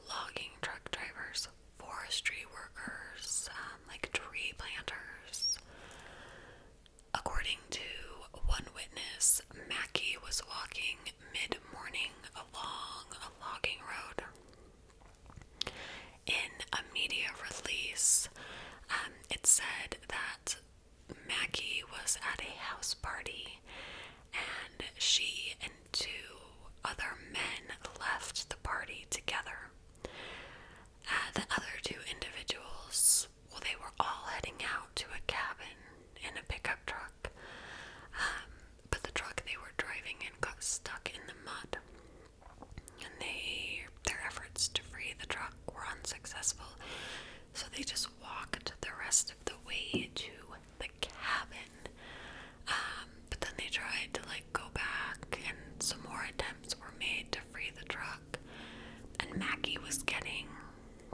Speaker 1: logging truck drivers, forestry workers, um, like tree planters. According to one witness, Mackey was walking mid morning along a logging road in a media release, um, it said that Maggie was at a house party and she and two other men left the party together. Uh, the other two individuals, well, they were all heading out to a cabin in a pickup truck, um, but the truck they were driving in got stuck in the mud and they their efforts to free the truck were unsuccessful, so they just walked the rest of the way to the cabin. Um, but then they tried to like go back, and some more attempts were made to free the truck. And Maggie was getting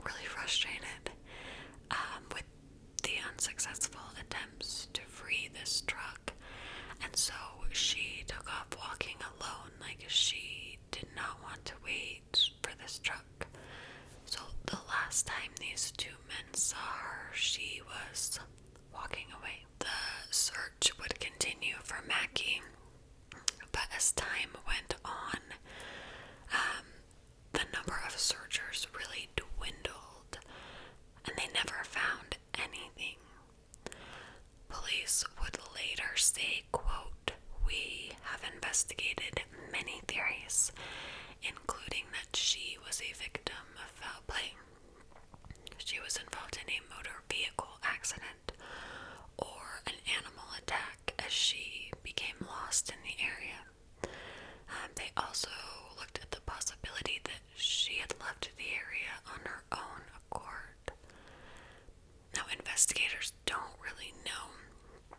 Speaker 1: really frustrated um, with the unsuccessful attempts to free this truck. And so she took off walking alone, like she did not want to wait for this truck. So the last time these two men saw her, she was walking away. The search would continue for Mackie, but as time went on, um, the number of searchers really dwindled and they never found anything. Police would later say, quote, we have investigated many theories, including that she was a victim of foul play. She was involved in a motor vehicle accident or an animal attack as she became lost in the area. Um, they also looked at the possibility that she had left the area on her own accord. Now, investigators don't really know,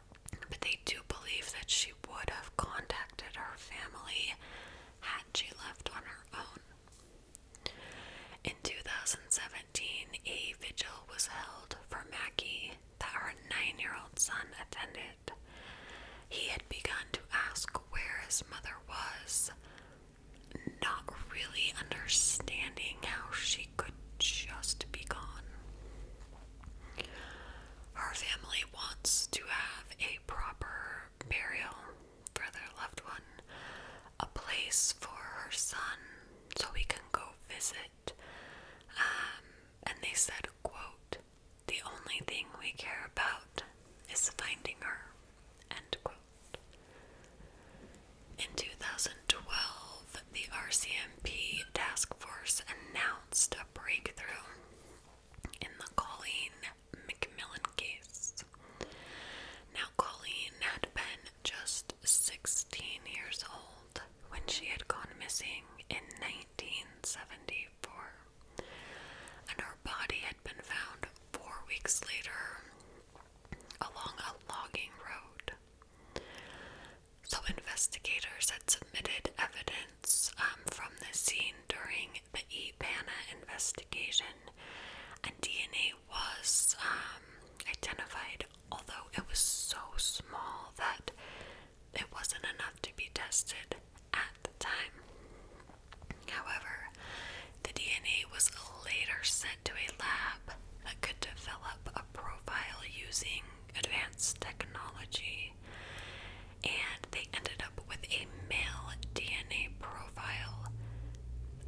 Speaker 1: but they do believe that she would have contacted her family had she left on her own. In 2017, a vigil was held for Mackie that her nine year old son attended. He had begun to ask where his mother was not really understanding how she could just be gone. Her family wants to have a proper burial for their loved one, a place for her son so we can go visit. Um, and they said, quote, the only thing we care about is finding her, end quote. In 2012, the RCMP task force announced a breakthrough in the Colleen McMillan case. Now, Colleen had been just 16 years old when she had gone missing in 1974, and her body had been found four weeks later along a logging road. So, investigators had submitted evidence um, from the scene during the E Pana investigation, and DNA was um, identified, although it was so small that it wasn't enough to be tested at the time. However, the DNA was later sent to a lab that could develop a profile using advanced technology, and they ended up with a male DNA profile,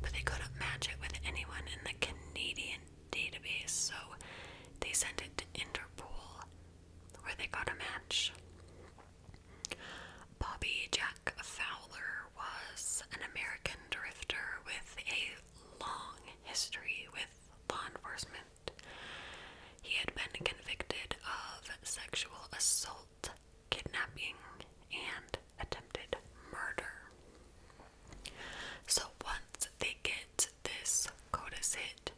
Speaker 1: but they couldn't match it with anyone in the Canadian database, so they sent it to Interpol, where they got a match. Bobby Jack Fowler was an American drifter with a long history with law enforcement. He had been convicted of sexual assault, kidnapping, and attempted murder. So once they get this CODIS hit,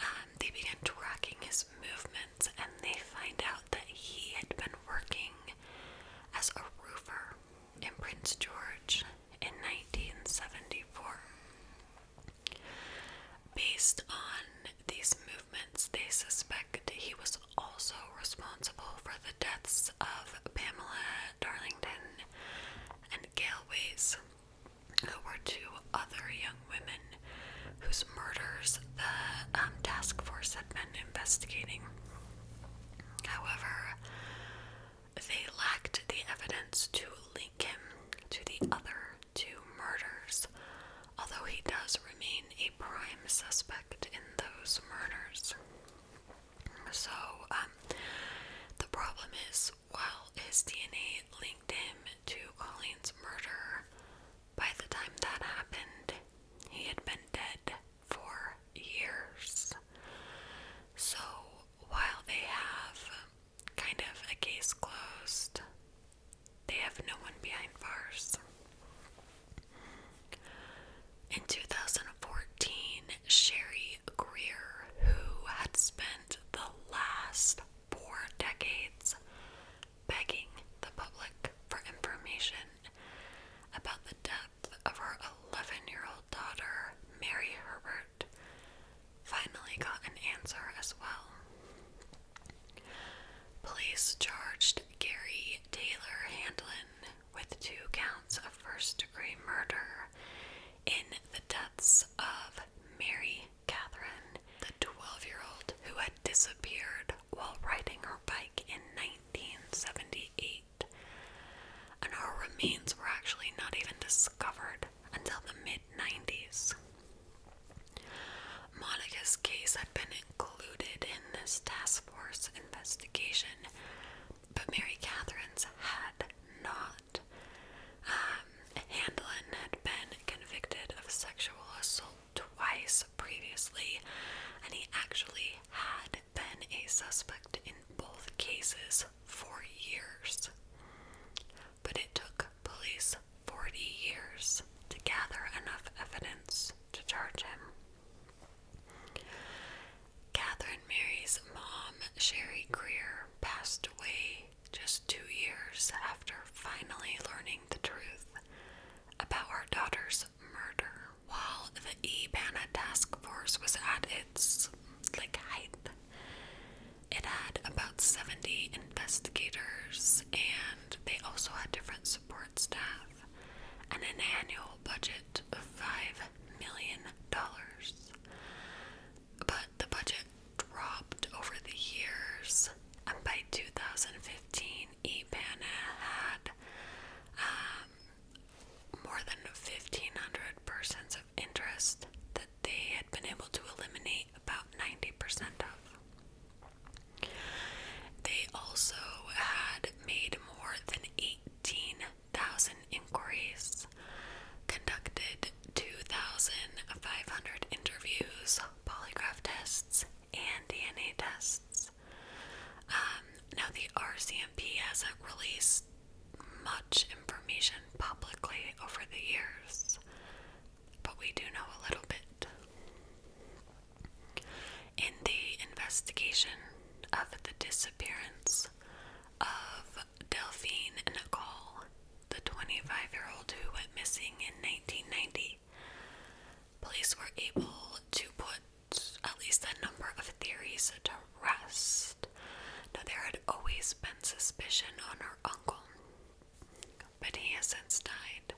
Speaker 1: um, they begin tracking his movements and they find out that he had been working as a roofer in Prince George in 1974. Based on these movements, they suspect he was also responsible for the deaths of Pamela Darlington and Galeways, who were two other young women whose murders the um, task force had been investigating. However, they lacked the evidence to link him to the other two murders, although he does remain a prime suspect in those murders. So, um, the problem is while his DNA linked him to Colleen's murder, by the time that happened, he had been dead for years. So while they have kind of a case closed, they have no one behind bars. In 2014, Sherry Greer, who had spent the last four decades begging the public for information about the death of her 11 year old daughter, Mary Herbert, finally got an answer as well. Police charged Gary Taylor Handlin with two counts of first degree murder in the deaths of Mary Catherine, the 12 year old who had disappeared while riding her bike in 1978 and her remains were actually not even discovered until the mid 90s. Monica's case had been included in this task force investigation, but Mary Catherine's had not. Um, Handlin had been convicted of sexual assault twice previously, and he actually had been a suspect in both cases for years. But it took police 40 years to gather enough evidence to charge him. Catherine Mary's mom, Sherry Greer, passed away just two years after finally learning the truth about her daughter's murder while the E-Pana task force was at its like height. It had about 70 investigators and they also had different support staff and an annual budget of five million dollars. But the budget dropped over the years and by 2015 EPANA had um, more than 1,500 percent of interest that they had been able to eliminate about 90% of. They also had made more than 18,000 inquiries, conducted 2,500 interviews, polygraph tests, and DNA tests. Um, now, the RCMP hasn't released much information publicly over the years, but we do know a little bit. In the investigation of the disappearance of Delphine Nicole, the 25 year old who went missing in 1990, police were able to put at least a number of theories to rest. Now, there had always been suspicion on her uncle, but he has since died.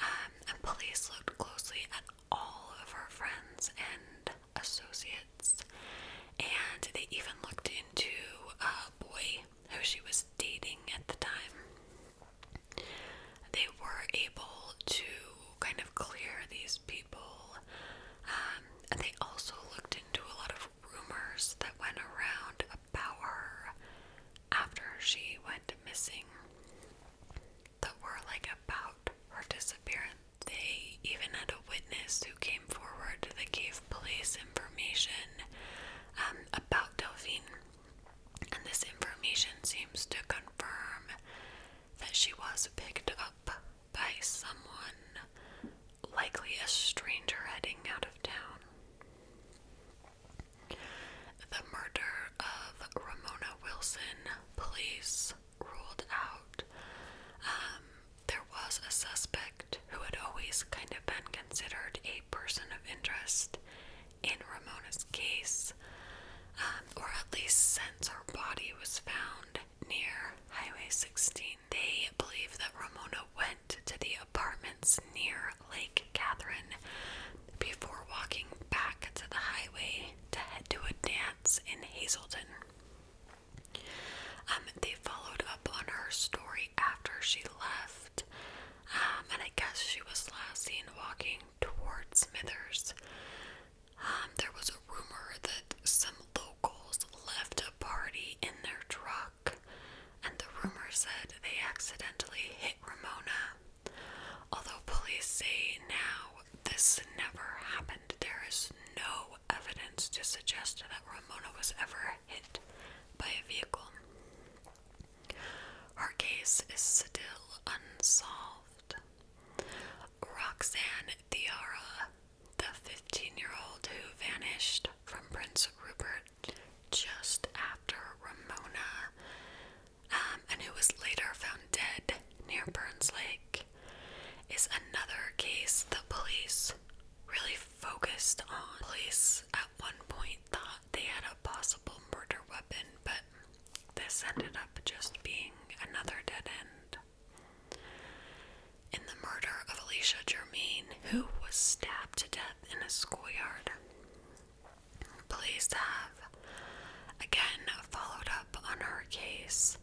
Speaker 1: Um, and police looked closely at all of her friends and associates, and they even looked into a boy who she was dating at the time. They were able to kind of clear these people. Um, and they also looked into a lot of rumors that went around about her after she went missing that were like about her disappearance. They even had a witness who came forward that gave police information um, about Delphine, and this information seems to confirm that she was picked up by someone, likely a stranger heading out of town. The murder of Ramona Wilson, police ruled out. Um, there was a suspect who had always kind of been considered a person of interest in Ramona's case. Um, or at least since her body was found near Highway 16. They believe that Ramona went to the apartments near Lake Catherine before walking back to the highway to head to a dance in Hazelton. Um, they followed up on her story after she left, um, and I guess she was last seen walking towards Smithers. Um, there was a rumor that some locals left a party in their truck, and the rumor said they accidentally hit Ramona. Although police say now this never happened, there is no evidence to suggest that Ramona was ever hit by a vehicle. Her case is still unsolved. Roxanne Diarra, the 15 year old who vanished from Prince Rupert just after Ramona, um, and who was later found dead near Burns Lake, is another case the police really focused on. Police at one point thought they had a possible murder weapon, but this ended up just being another dead end in the murder of Alicia Germain, who was stabbed to death in a schoolyard. Police have again followed up on her case,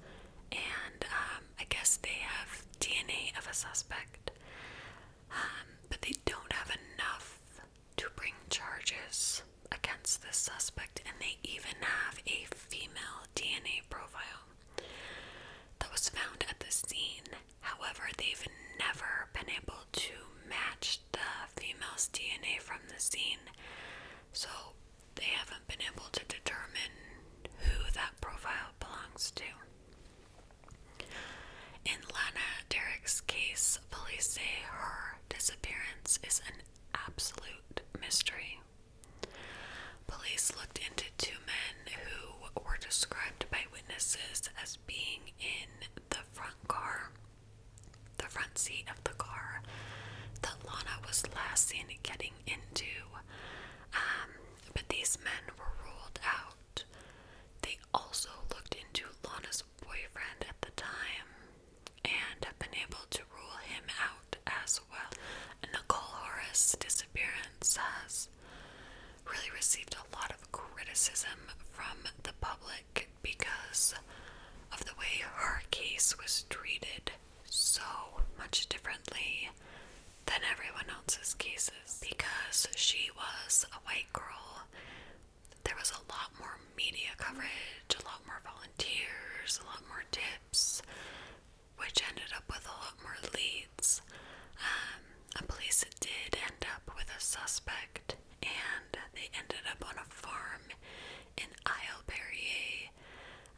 Speaker 1: and um, I guess they have DNA of a suspect, um, but they don't have enough to bring charges against the suspect, and they even have a female DNA profile that was found at the scene. However, they've never been able to match the female's DNA from the scene, so they haven't been able to determine who that profile belongs to. In Lana Derek's case, police say her disappearance is an absolute mystery Police looked into two men who were described by witnesses as being in the front car, the front seat of the car that Lana was last seen getting into. Um, but these men were ruled out. They also looked into Lana's boyfriend at the time, and have been able to rule him out as well. Nicole Horace's disappearance has really received a lot of criticism from the public because of the way her case was treated so much differently than everyone else's cases. Because she was a white girl, there was a lot more media coverage, a lot more volunteers, a lot more which ended up with a lot more leads. Um, and police did end up with a suspect, and they ended up on a farm in Isle Perrier.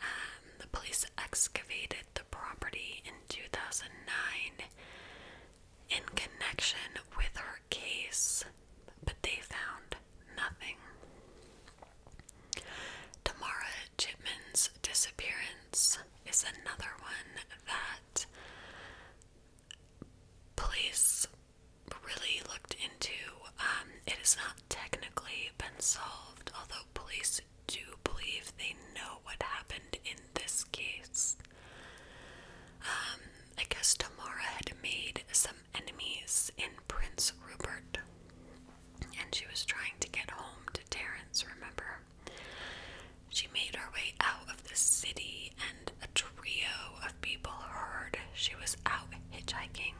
Speaker 1: Um, the police excavated the property in 2009 in connection with her case, but they found nothing. Tamara Chipman's disappearance is another one that police really looked into. Um, it has not technically been solved, although police do believe they know what happened in this case. Um, I guess Tamara had made some enemies in Prince Rupert and she was trying to get home to Terrence, remember? She made her way out of the city, and a trio of people heard she was out hitchhiking.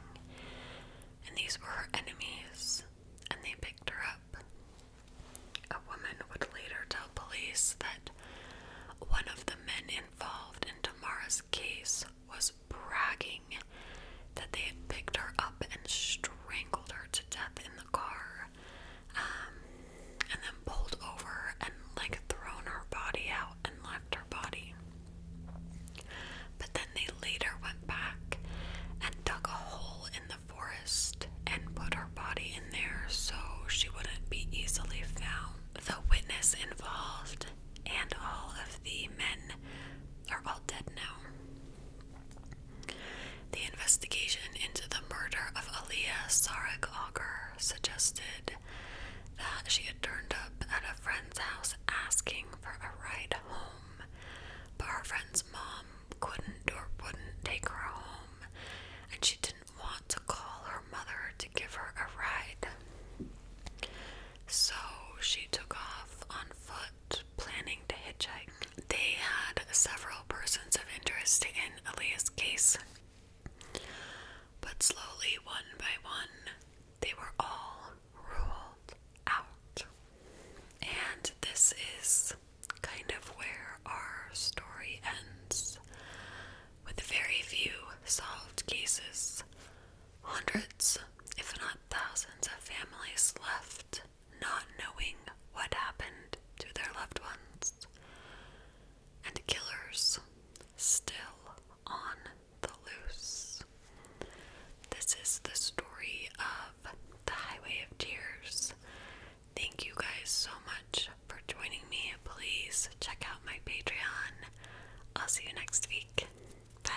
Speaker 1: And these were her enemies, and they picked her up. A woman would later tell police that one of the men involved in Tamara's case was bragging that they had picked her up and strangled her to death in the car, um, and then pulled over and like thrown her body out and left her body. But then they later went back and dug a hole in the forest and put her body in there so she wouldn't be easily found. The witness involved and all of the men are all dead now. The investigation into the murder of Aliyah Sarek Auger suggested that she had turned up at a friend's house asking for a ride home, but her friend's mom couldn't or wouldn't take her home, and she didn't want to call her mother to give her a ride. So she took off on foot planning to hitchhike. They had several persons of interest in Elia's case, but slowly, one by one, they were all ruled out. And this is kind of where our story ends. With very few solved cases, hundreds, if not thousands of families left not knowing what happened to their loved ones, and killers still on the loose. This is the story of the Highway of Tears. Thank you guys so much for joining me. Please check out my Patreon. I'll see you next week. Bye.